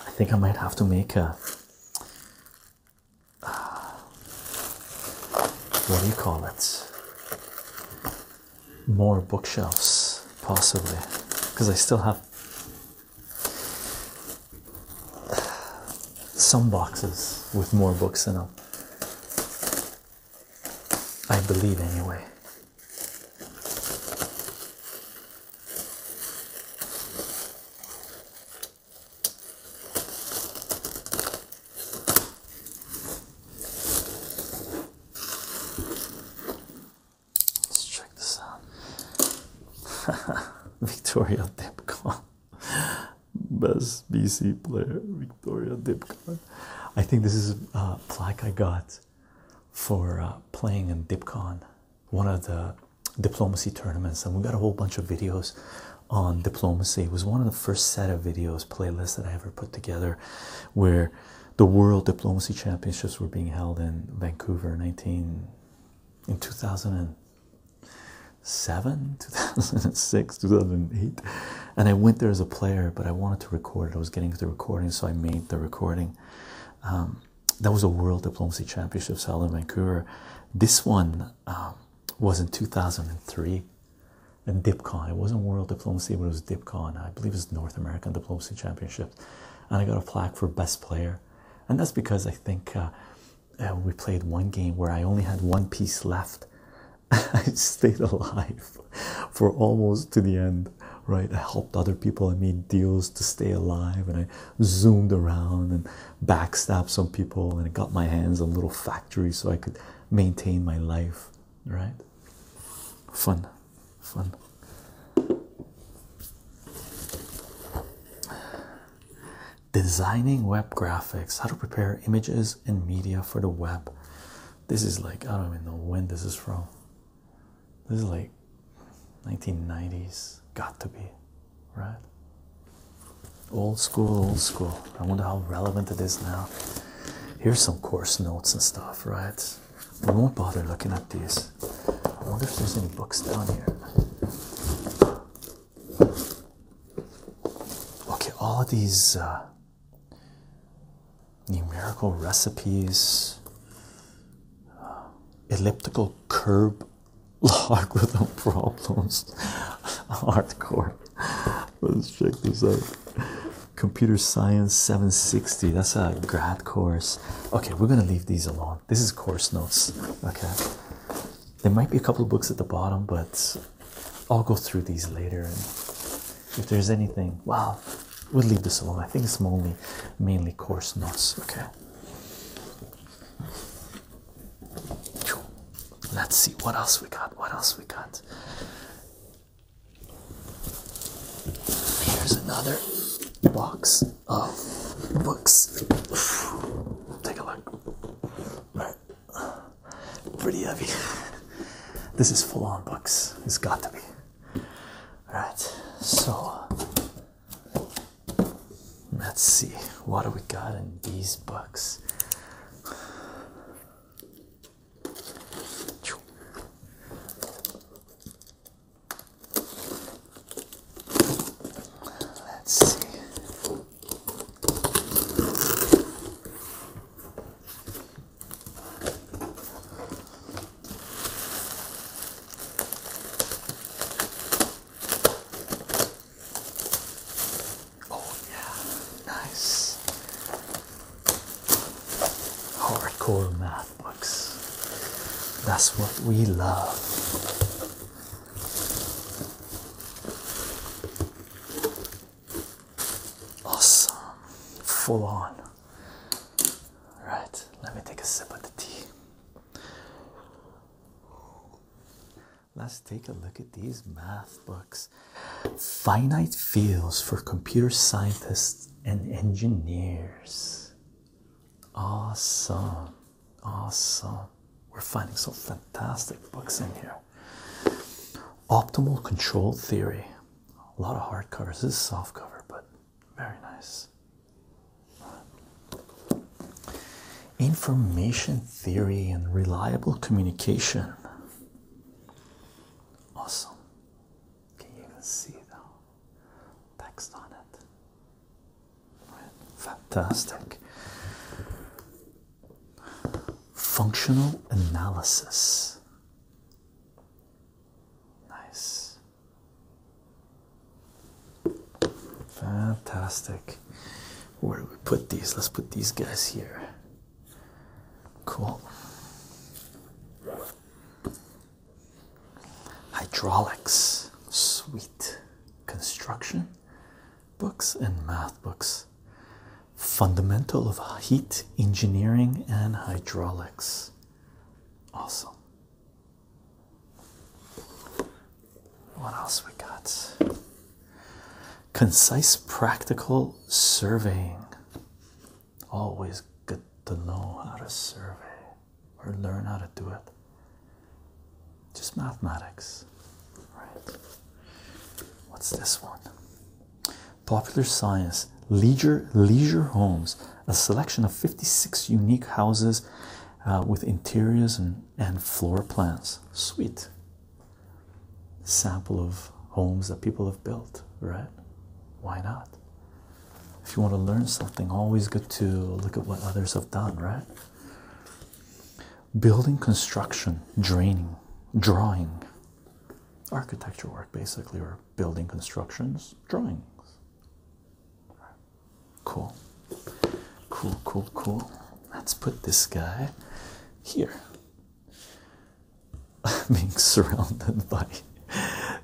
I think I might have to make a what do you call it? More bookshelves, possibly, because I still have some boxes with more books in them. I believe, anyway. Let's check this out. [laughs] Victoria Dipcon, [laughs] best BC player. Victoria Dipcon. I think this is a uh, plaque I got for uh, playing in Dipcon, one of the diplomacy tournaments, and we got a whole bunch of videos on diplomacy. It was one of the first set of videos playlists that I ever put together where the World Diplomacy Championships were being held in Vancouver 19 in 2007, [laughs] 2006, 2008. And I went there as a player, but I wanted to record it. I was getting the recording, so I made the recording. Um, that was a World Diplomacy Championships held in Vancouver. This one, um, was in 2003 in DIPCON. It wasn't World Diplomacy, but it was DIPCON. I believe it was North American Diplomacy Championship, And I got a plaque for best player. And that's because I think uh, uh, we played one game where I only had one piece left. [laughs] I stayed alive for almost to the end, right? I helped other people. I made deals to stay alive and I zoomed around and backstabbed some people, and got my hands on little factories so I could maintain my life. Right? Fun, fun. Designing web graphics, how to prepare images and media for the web. This is like, I don't even know when this is from. This is like 1990s, got to be right? Old school, old school. I wonder how relevant it is now. Here's some course notes and stuff, right? We won't bother looking at these. I wonder if there's any books down here. Okay, all of these uh, numerical recipes, uh, elliptical curve Logarithm problems, [laughs] hardcore. Let's check this out. Computer Science 760. That's a grad course. Okay, we're gonna leave these alone. This is course notes. Okay, there might be a couple books at the bottom, but I'll go through these later. And if there's anything, wow, we'll leave this alone. I think it's only mainly course notes. Okay. Let's see what else we got. What else we got? Here's another box of books. [sighs] Take a look. Right. Pretty heavy. [laughs] This is full on books. It's got to be. Alright, so let's see what do we got in these books let's see Oh yeah, nice. Hardcore math books. That's what we love. Awesome. Full on. Right, let me take a sip of the tea. Let's take a look at these math books. Finite fields for computer scientists and engineers. Awesome. Awesome. We're finding some fantastic books in here. Optimal control theory. A lot of hard covers. This is soft cover, but very nice. Information theory and reliable communication. Awesome. Can you even see the text on it? Fantastic. Functional analysis. Nice. Fantastic. Where do we put these? Let's put these guys here. Cool. Hydraulics, sweet. Construction books and math books. Fundamental of heat engineering and hydraulics. Awesome. What else we got? Concise practical surveying. Always good to know how to survey or learn how to do it. Just mathematics. Right. What's this one? Popular science, leisure, leisure homes, a selection of 56 unique houses uh, with interiors and, and floor plans. Sweet sample of homes that people have built, right? Why not? If you want to learn something, always good to look at what others have done, right? Building construction, draining, drawing, architecture work basically, or building constructions, drawings. Cool. Cool, cool, cool let's put this guy here. [laughs] Being surrounded by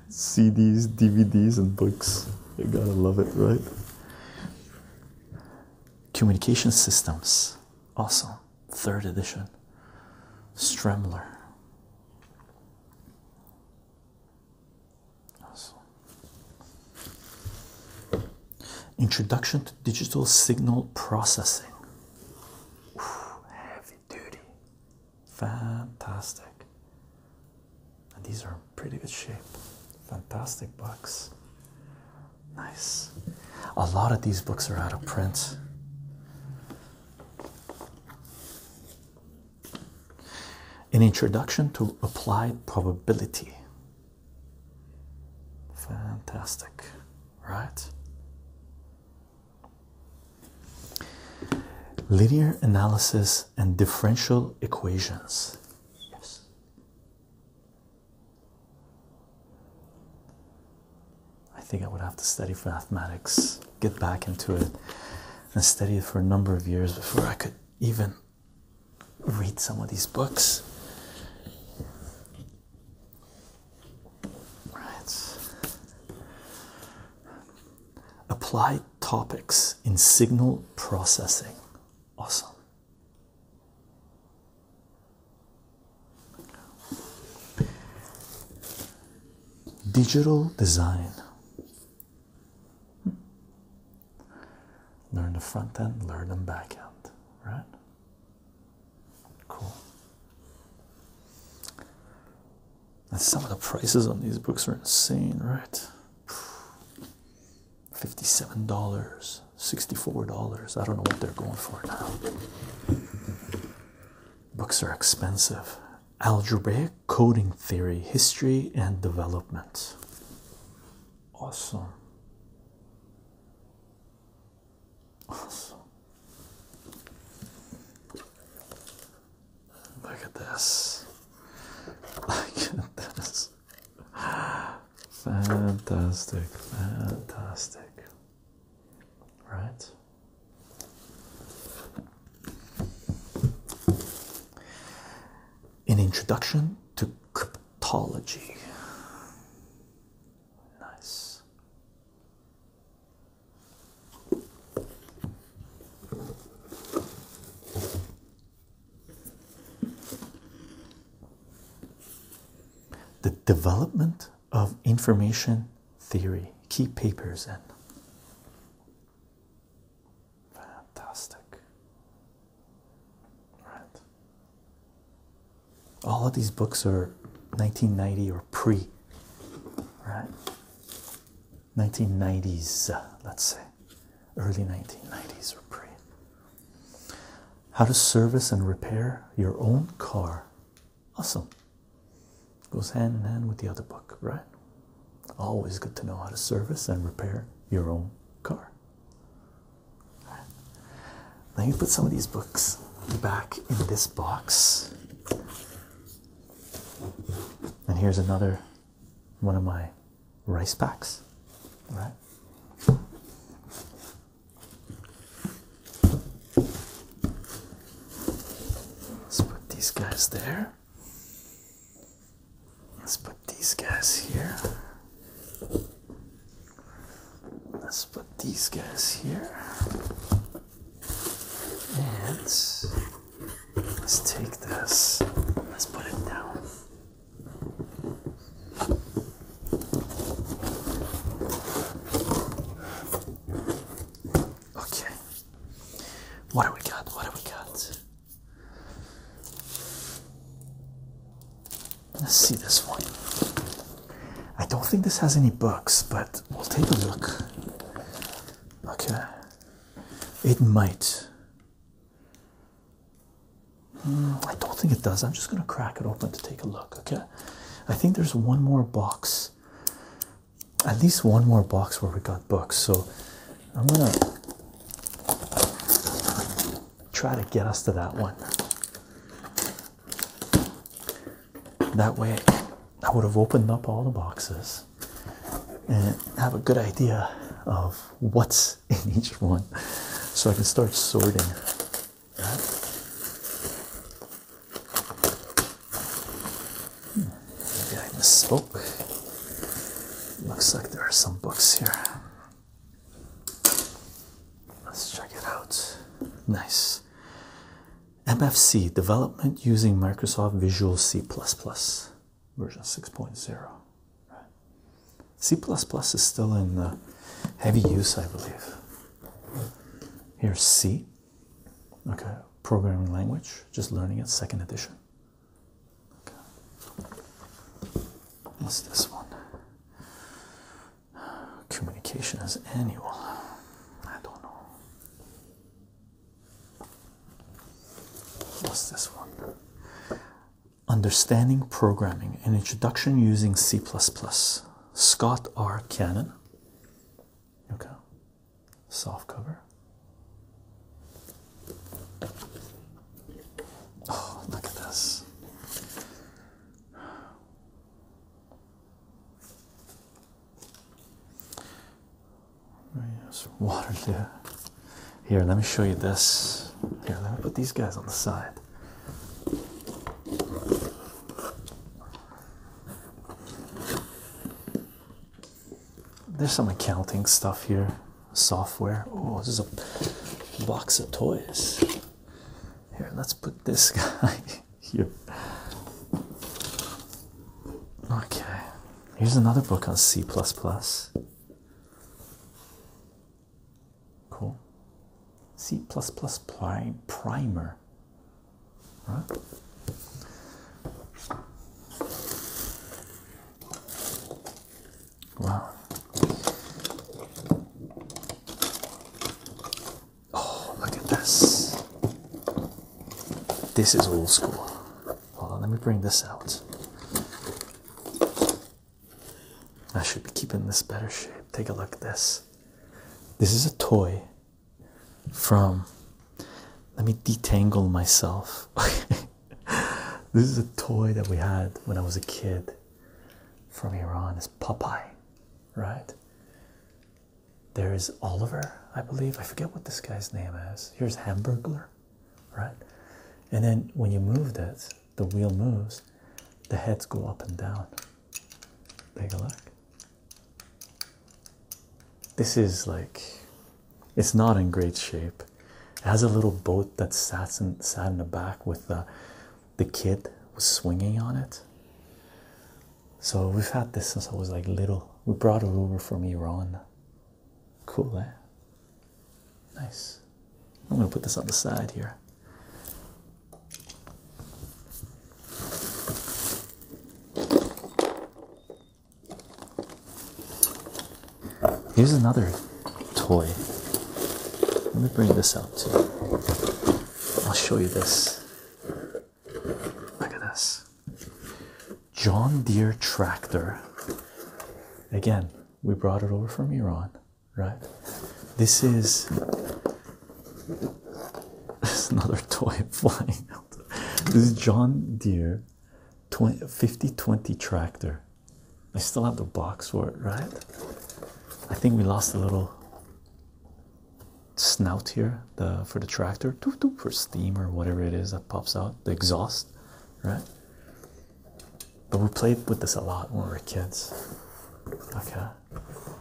CDs, DVDs, and books. You gotta love it, right? Communication systems, awesome. Third edition. Stremler. Awesome. Introduction to Digital Signal Processing. heavy duty. Fantastic. And these are pretty good shape. Fantastic books. Nice. A lot of these books are out of print. An Introduction to Applied Probability Fantastic, right? Linear analysis and differential equations. Yes. I think I would have to study for mathematics, get back into it, and study it for a number of years before I could even read some of these books. Right. Applied topics in signal processing. Awesome. Digital design. Learn the front end, learn the back end, right? Cool. some of the prices on these books are insane, right? $57, $64. I don't know what they're going for now. Books are expensive. Algebraic coding theory, history, and development. Awesome. Awesome. Look at this. Look at this. Fantastic, fantastic. Right? An introduction to cryptology. Nice. The development of information theory, key papers in. Fantastic. Right. All of these books are 1990 or pre, right? 1990s, let's say, early 1990s or pre. How to service and repair your own car. Awesome. Goes hand in hand with the other book, right? Always good to know how to service and repair your own car. Let me put some of these books back in this box. And here's another one of my rice packs. All right. Let's put these guys there. Let's put these guys here let's put these guys here and let's take this let's put it down okay what do we got what do we got Let's see this one. I don't think this has any books, but we'll take a look. Okay. It might. Hmm, I don't think it does. I'm just going to crack it open to take a look. Okay. I think there's one more box. At least one more box where we got books. So I'm going to try to get us to that one. That way, I would have opened up all the boxes and have a good idea of what's [laughs] in each one so I can start sorting. Right? Hmm, maybe I misspoke. Looks like there are some books here. Let's check it out. Nice. MFC development using Microsoft Visual C version 6.0. C is still in uh, heavy use, I believe. Here's C, okay, programming language, just learning it, second edition. What's this one? Communication Communications annual. I don't know. What's this one? Understanding Programming An Introduction Using C. Scott R. Cannon. Okay. Soft cover. Oh, look at this. There's water there. Here, let me show you this. Here, let me put these guys on the side. There's some accounting stuff here. Software. Oh, this is a box of toys. Here, let's put this [laughs] guy here. Okay, here's another book on C. Cool. C prime primer. Wow. Oh, look at this. This is old school. Hold on, let me bring this out. I should be keeping this better shape. Take a look at this. This is a toy from. Let me detangle myself. [laughs] this is a toy that we had when I was a kid from Iran. It's Popeye right? There is Oliver, I believe. I forget what this guy's name is. Here's Hamburger, right? And then when you move this, the wheel moves, the heads go up and down. Take a look. This is like, it's not in great shape. It has a little boat that sat in, sat in the back with the uh, the kid was swinging on it. So we've had this since I was like little. We brought it over from Iran. Cool, eh? Nice. I'm gonna put this on the side here. Here's another toy. Let me bring this out too. I'll show you this. Look at this John Deere tractor. Again, we brought it over from Iran, right? This is [laughs] another toy [laughs] flying This is John Deere 20, 5020 tractor. I still have the box for it, right? I think we lost a little snout here the for the tractor for steam or whatever it is that pops out the exhaust right but we played with this a lot when we were kids okay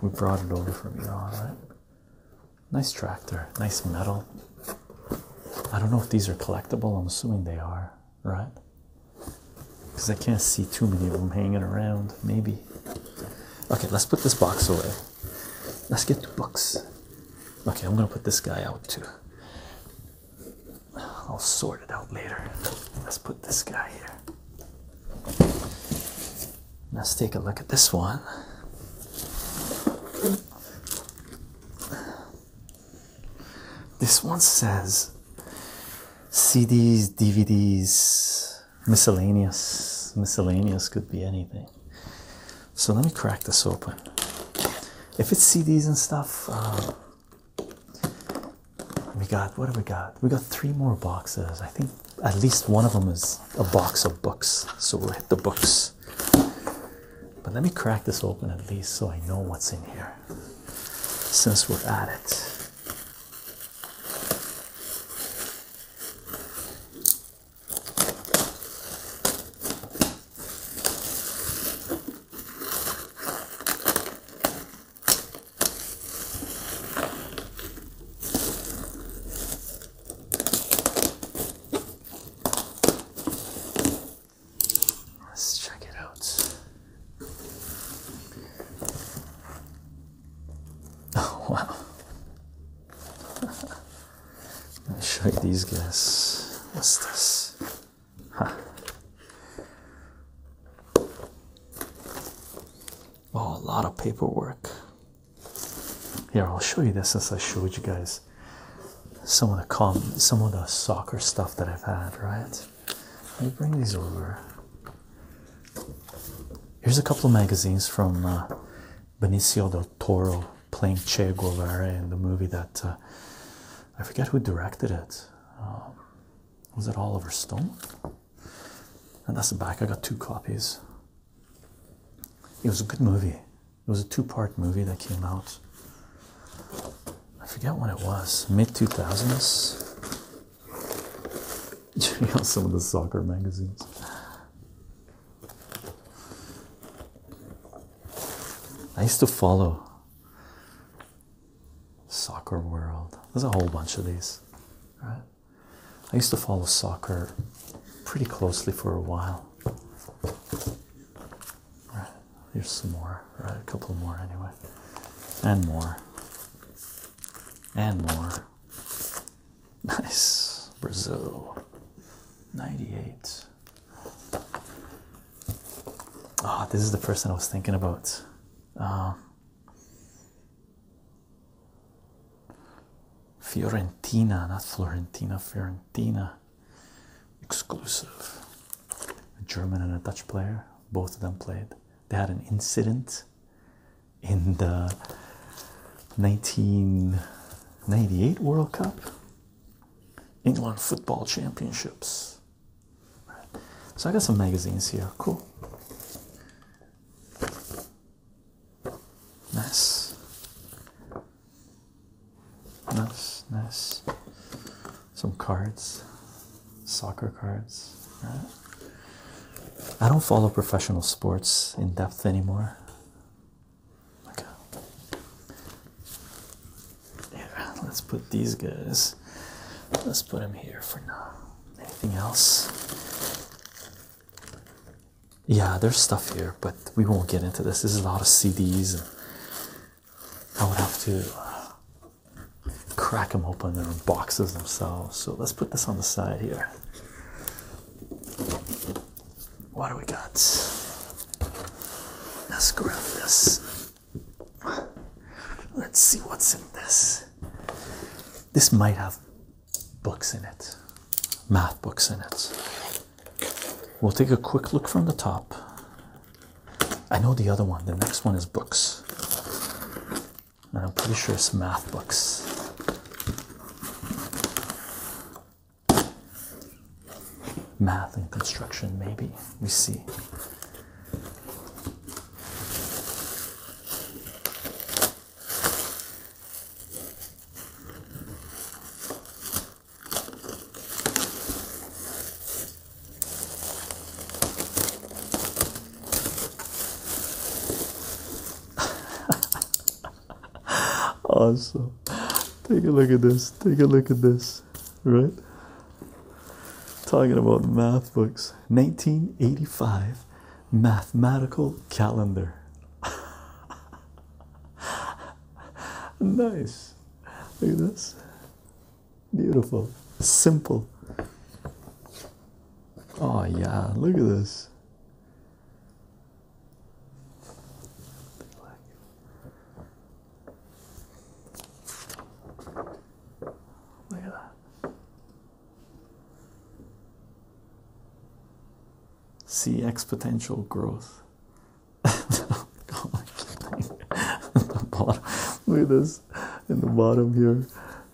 we brought it over from Iran right nice tractor nice metal I don't know if these are collectible I'm assuming they are right because I can't see too many of them hanging around maybe Okay, let's put this box away. Let's get the books. Okay, I'm gonna put this guy out too. I'll sort it out later. Let's put this guy here. Let's take a look at this one. This one says CDs, DVDs, miscellaneous miscellaneous could be anything so let me crack this open if it's cds and stuff um, we got what have we got we got three more boxes i think at least one of them is a box of books so we'll hit the books but let me crack this open at least so i know what's in here since we're at it Let's check it out. [laughs] Oh, wow. Let me show you these guys. What's this? Huh. Oh, a lot of paperwork. Here, I'll show you this since I showed you guys some of the com some of the soccer stuff that I've had, right? Let me bring these over. Here's a couple of magazines from uh, Benicio del Toro playing Che Guevara in the movie that uh, I forget who directed it. Um, was it Oliver Stone? And that's the back. I got two copies. It was a good movie. It was a two-part movie that came out. I forget when it was. Mid two thousands. Check out some of the soccer magazines. I used to follow Soccer World. There's a whole bunch of these, I used to follow soccer pretty closely for a while. Right. Here's some more, right? A couple more anyway. And more. And more. Nice. Brazil. 98. Ah, this is the person I was thinking about. Um, Fiorentina, not Florentina, Fiorentina. Exclusive. A German and a Dutch player. Both of them played. They had an incident in the 1998 World Cup, England Football Championships. So I got some magazines here. Cool. Nice. Nice, nice. Some cards, soccer cards, I don't follow professional sports in depth anymore. Okay. Here, let's put these guys. Let's put them here for now. Anything else? Yeah, there's stuff here, but we won't get into this. There's a lot of CDs. And I would have to crack them open. They're boxes themselves. So let's put this on the side here. What do we got? Let's grab this. Let's see what's in this. This might have books in it, math books in it. We'll take a quick look from the top. I know the other one, the next one is books and I'm pretty sure it's math books. Math and construction, maybe. We see. [laughs] awesome. Take a look at this. Take a look at this. Right? Talking about math books. 1985 mathematical calendar. [laughs] nice. Look at this. Beautiful. Simple. Oh, yeah. Look at this. Look at that. See exponential growth. the [laughs] Look at this in the bottom here.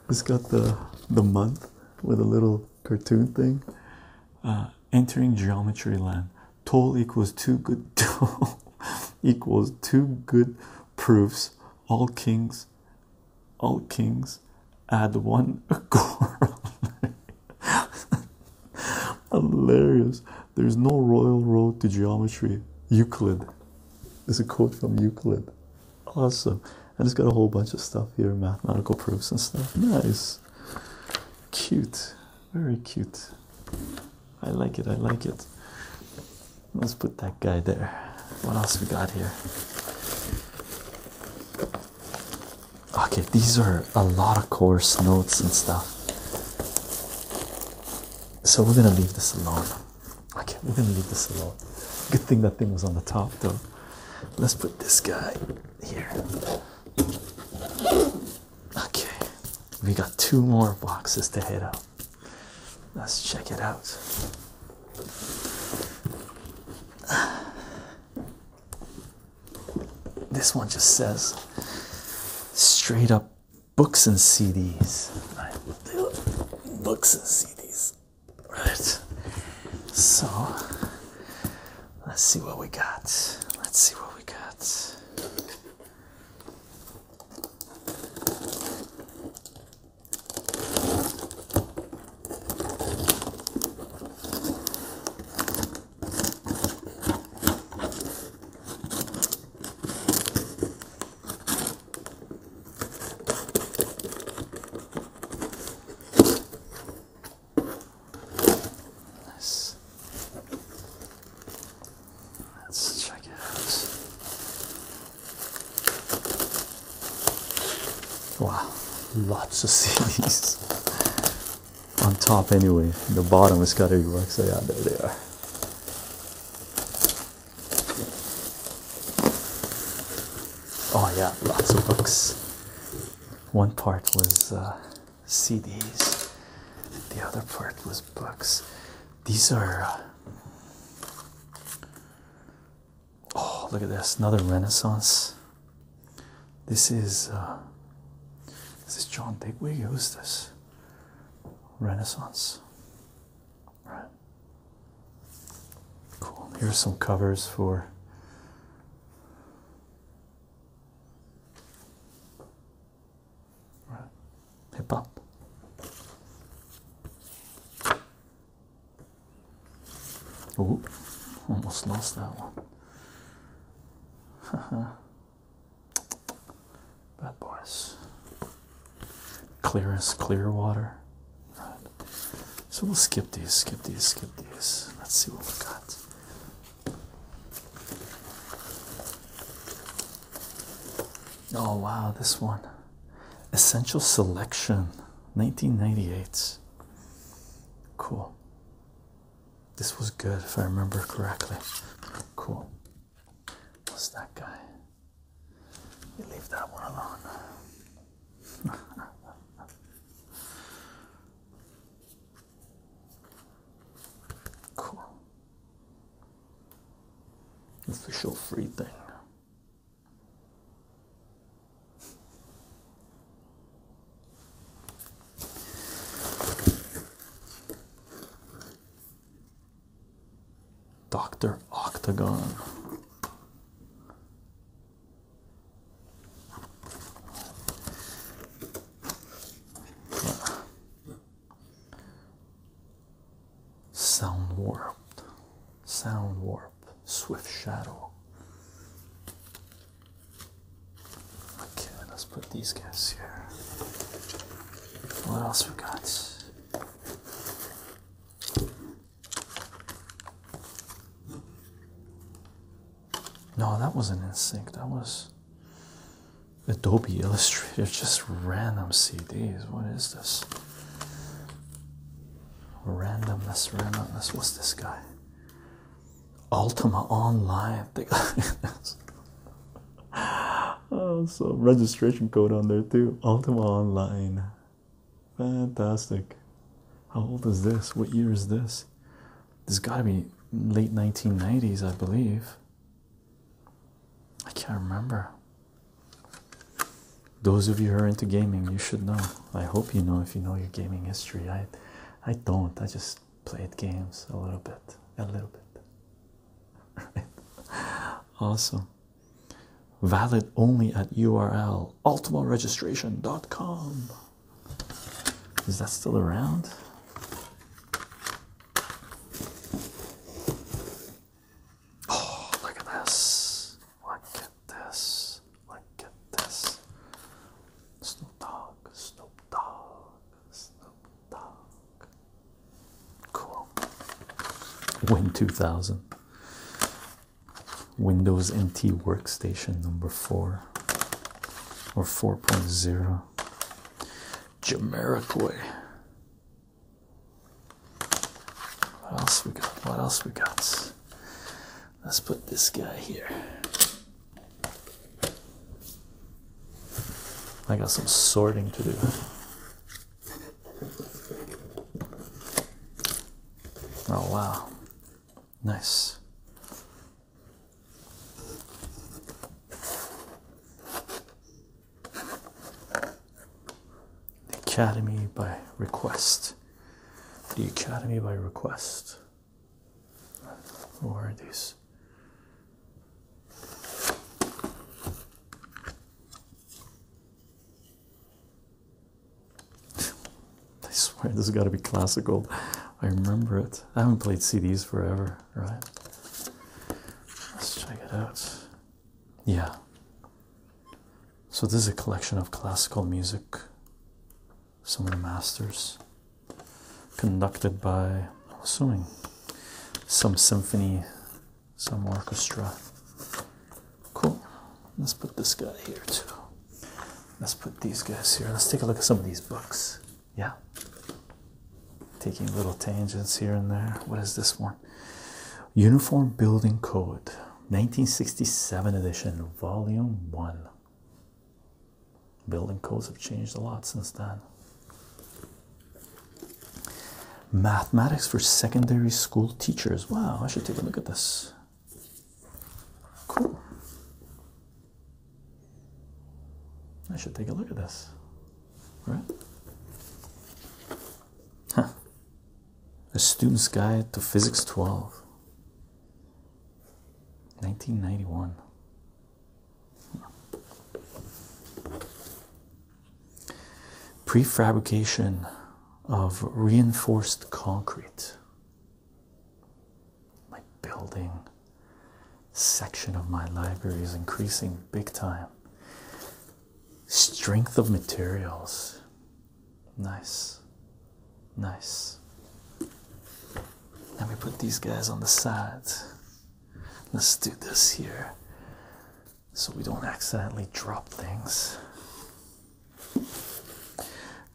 It's got the the month with a little cartoon thing. Uh, entering geometry land. Toll equals two good [laughs] toll equals two good proofs. All kings, all kings, add one a corollary. [laughs] [laughs] Hilarious. There's no royal road to geometry. Euclid. This is a quote from Euclid. Awesome. I just got a whole bunch of stuff here, mathematical proofs and stuff. Nice. Cute. Very cute. I like it, I like it. Let's put that guy there. What else we got here? Okay, these are a lot of course notes and stuff. So we're gonna leave this alone. Okay, we're gonna leave this alone. Good thing that thing was on the top though. Let's put this guy here. Okay, we got two more boxes to hit up. Let's check it out. This one just says straight up books and CDs. Books and CDs. Right. So let's see what we got. Let's see what we got. Nice. Let's check it out. Wow, lots of [laughs] CDs. On top, anyway, the bottom is got every work, so yeah, there they are. Oh, yeah, lots of books one part was uh, CDs, the other part was books. These are uh, oh, look at this another Renaissance. This is uh, this is John Digweed. Who's this? Renaissance. All right. Cool. Here's some covers for Right. Hip up. Oh, almost lost that one. [laughs] Bad boys. Clearance, clear water. Right. So we'll skip these, skip these, skip these. Let's see what we got. Oh, wow, this one Essential Selection 1998. Cool. This was good if I remember correctly. Cool. What's that guy? You leave that one alone. [laughs] Cool. Official free thing. Dr. Octagon. Sound warped, sound warp, swift shadow. Okay, let's put these guys here. What else we got? No, that wasn't in That was Adobe Illustrator. [laughs] Just random CDs. What is this? Randomness, randomness. What's this guy? Ultima Online. [laughs] They got this. Oh, so registration code on there too. Ultima Online. Fantastic. How old is this? What year is this? This got to be late 1990s, I believe. I can't remember. Those of you who are into gaming, you should know. I hope you know if you know your gaming history. I, I don't. I just played games a little bit, a little bit. [laughs] Awesome. Valid only at URL ultimaregistration.com. Is that still around? Oh, look at this. Look at this. Look at this. Snoop Dogg, Snoop Cool. Win 2000. Windows NT Workstation number four or 4.0. Jamiroquai. What else we got? What else we got? Let's put this guy here. I got some sorting to do. Oh wow. Nice. The Academy by request. The Academy by request. Who are these? I swear this has got to be classical. I remember it. I haven't played CDs forever, right? Let's check it out. Yeah. So this is a collection of classical music. Some of the masters conducted by I'm assuming some symphony, some orchestra. Cool. Let's put this guy here too. Let's put these guys here. Let's take a look at some of these books. Yeah. Taking little tangents here and there. What is this one? Uniform Building Code, 1967 edition, volume one. Building codes have changed a lot since then. Mathematics for secondary school teachers. Wow, I should take a look at this. Cool. I should take a look at this. Right? Huh. A Student's Guide to Physics 12. 1991. Prefabrication of reinforced concrete my building section of my library is increasing big time. Strength of materials. Nice. Nice. Let me put these guys on the side. Let's do this here so we don't accidentally drop things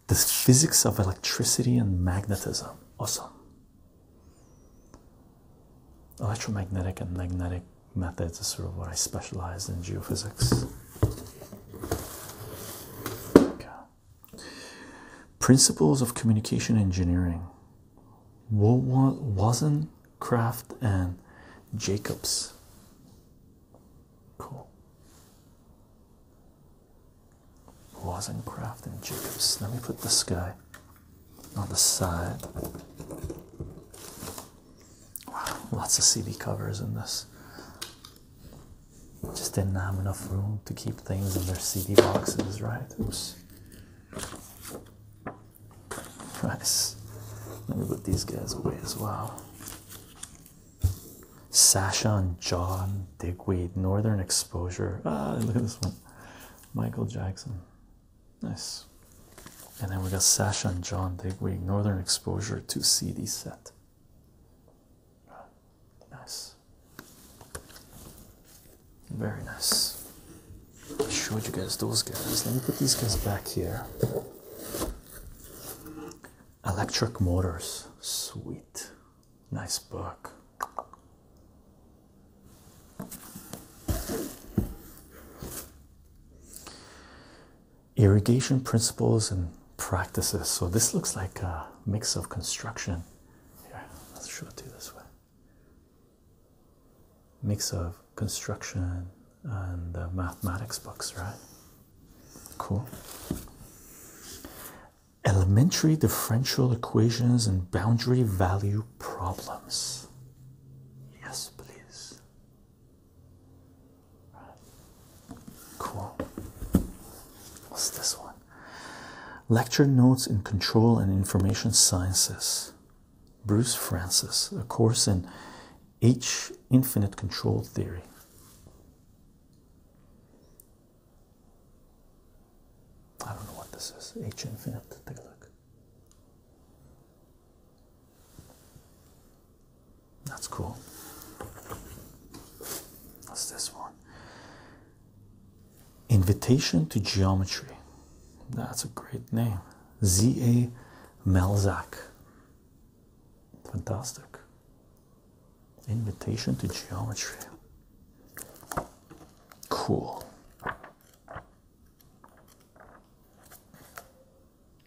the physics of electricity and magnetism. Awesome. Electromagnetic and magnetic methods is sort of what I specialize in geophysics. Principles of communication engineering. Wasn't Craft and Jacobs. Cool. Wozencraft and Jacobs. Let me put this guy on the side. Wow, lots of CD covers in this. Just didn't have enough room to keep things in their CD boxes, right? Oops. Nice. Let me put these guys away as well. Sasha and John Digweed, Northern Exposure. Ah, look at this one. Michael Jackson. Nice. And then we got Sasha and John Digweed, Northern Exposure 2 CD set. Nice. Very nice. I showed you guys those guys. Let me put these guys back here. Electric Motors. Sweet. Nice book. Irrigation principles and practices. So this looks like a mix of construction. Here, let's show it to you this way. Mix of construction and uh, mathematics books, right? Cool elementary differential equations and boundary value problems. Yes, please. Cool. What's this one? Lecture notes in control and information sciences. Bruce Francis, a course in H infinite control theory. I don't know what this is. H infinite. Take a look. That's cool. What's this one? Invitation to Geometry. That's a great name. Z.A. Melzak. Fantastic. Invitation to Geometry. Cool.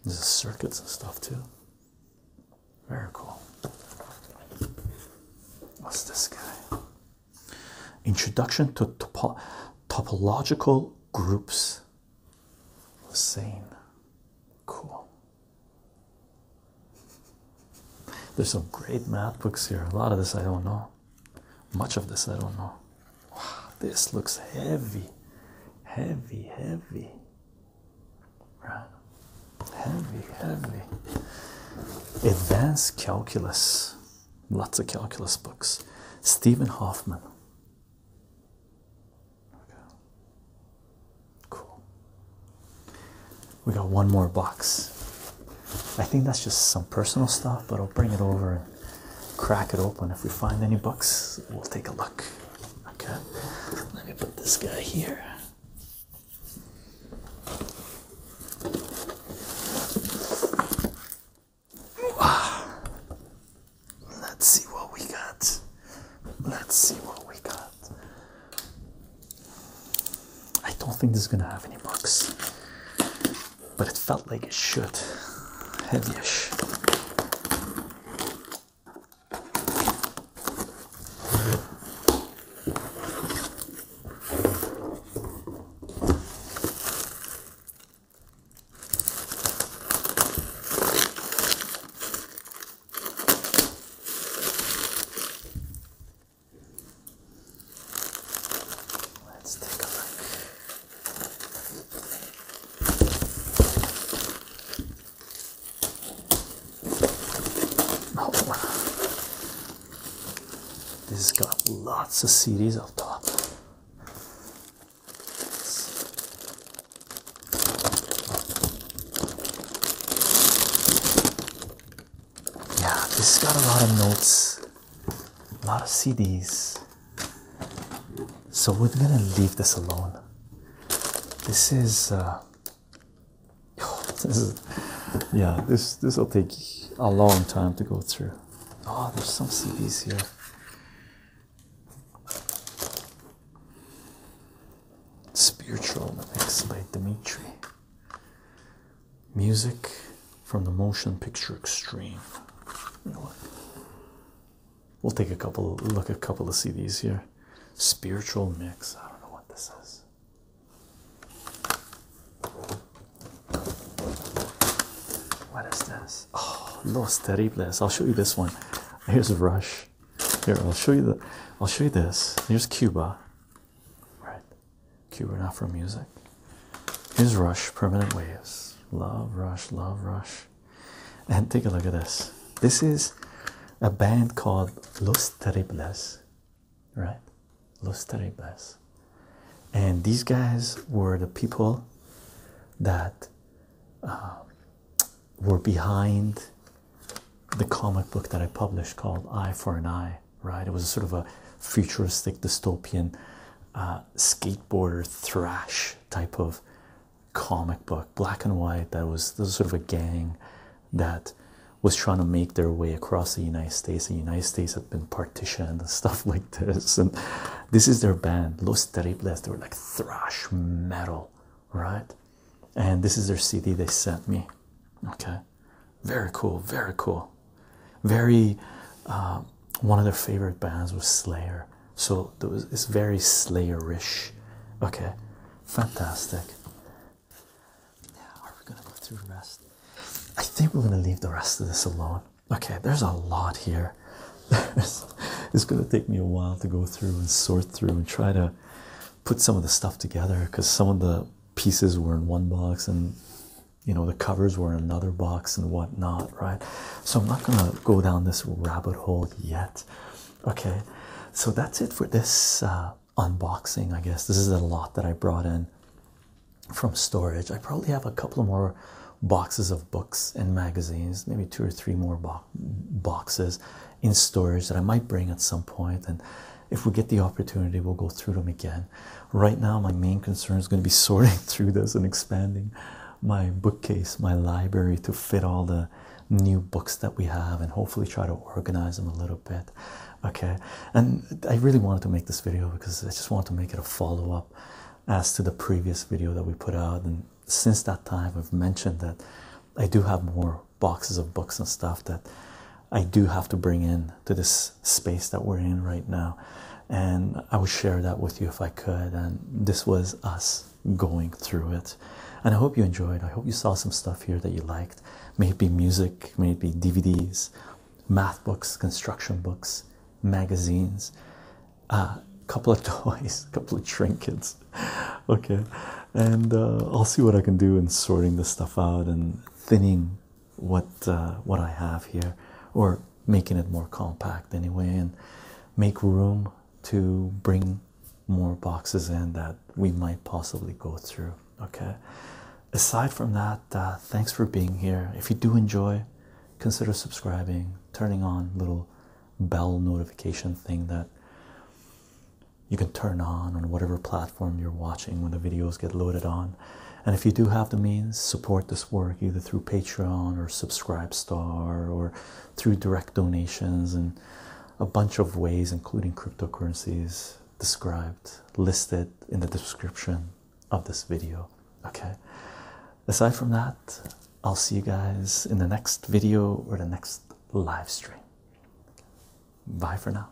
There's circuits and stuff too. Very cool. What's this guy? Introduction to topological groups. Sane. Cool. There's some great math books here. A lot of this I don't know. Much of this I don't know. Wow, this looks heavy. Heavy, heavy. Right? Heavy, heavy. Advanced calculus. Lots of calculus books. Stephen Hoffman. Cool. We got one more box. I think that's just some personal stuff, but I'll bring it over and crack it open. If we find any books, we'll take a look. Okay, let me put this guy here. Let's see what we got. Let's see what we got. I don't think this is gonna have any books, but it felt like it should. Heavyish. Let's take a look. Oh, this has got lots of CDs up top yeah, this got a lot of notes, a lot of CDs. So we're gonna leave this alone. This is, uh, [laughs] yeah, this this will take a long time to go through. Oh, there's some CDs here. Spiritual, the next by Dimitri. Music from the motion picture extreme. we'll take a couple look at a couple of CDs here. Spiritual mix. I don't know what this is. What is this? Oh, Los Terribles. I'll show you this one. Here's Rush. Here, I'll show you the I'll show you this. Here's Cuba. Right. Cuban Afro music. Here's Rush, Permanent Waves. Love Rush, love Rush. And take a look at this. This is a band called Los Terribles, right? Los Terribles. And these guys were the people that uh, were behind the comic book that I published called Eye for an Eye right? It was sort of a futuristic dystopian uh, skateboarder thrash type of comic book, black and white. That was this sort of a gang that was trying to make their way across the United States. The United States had been partitioned and [laughs] stuff like this. And this is their band, Los Terribles. They were like thrash metal, right? And this is their CD they sent me. Okay. Very cool, very cool. Very uh, one of their favorite bands was Slayer, so there was, it's very Slayerish. Okay, fantastic. Now, are we gonna go through the rest? I think we're gonna leave the rest of this alone. Okay, there's a lot here. [laughs] it's gonna take me a while to go through and sort through and try to put some of the stuff together because some of the pieces were in one box and you know the covers were in another box and whatnot right so i'm not gonna go down this rabbit hole yet okay so that's it for this uh, unboxing i guess this is a lot that i brought in from storage i probably have a couple more boxes of books and magazines maybe two or three more boxes in storage that i might bring at some point and if we get the opportunity, we'll go through them again. Right now, my main concern is going to be [laughs] sorting through this and expanding my bookcase, my library to fit all the new books that we have and hopefully try to organize them a little bit. Okay, and I really wanted to make this video because I just wanted to make it a follow up as to the previous video that we put out. And since that time, I've mentioned that I do have more boxes of books and stuff that I do have to bring in to this space that we're in right now and i would share that with you if i could and this was us going through it and i hope you enjoyed i hope you saw some stuff here that you liked Maybe music maybe dvds math books construction books magazines a couple of [laughs] toys a couple of trinkets okay and uh, i'll see what i can do in sorting the stuff out and thinning what uh, what I have here, or making it more compact anyway, and make room to bring more boxes in that we might possibly go through. Okay. Aside from that, uh, thanks for being here. If you do enjoy, consider subscribing, turning on little bell notification thing that you can turn on on whatever platform you're watching when the videos get loaded on and if you do have the means, support this work either through Patreon or Subscribe Star or through direct donations and a bunch of ways, including cryptocurrencies described, listed in the description of this video. Okay. Aside from that, I'll see you guys in the next video or the next live stream. Bye for now.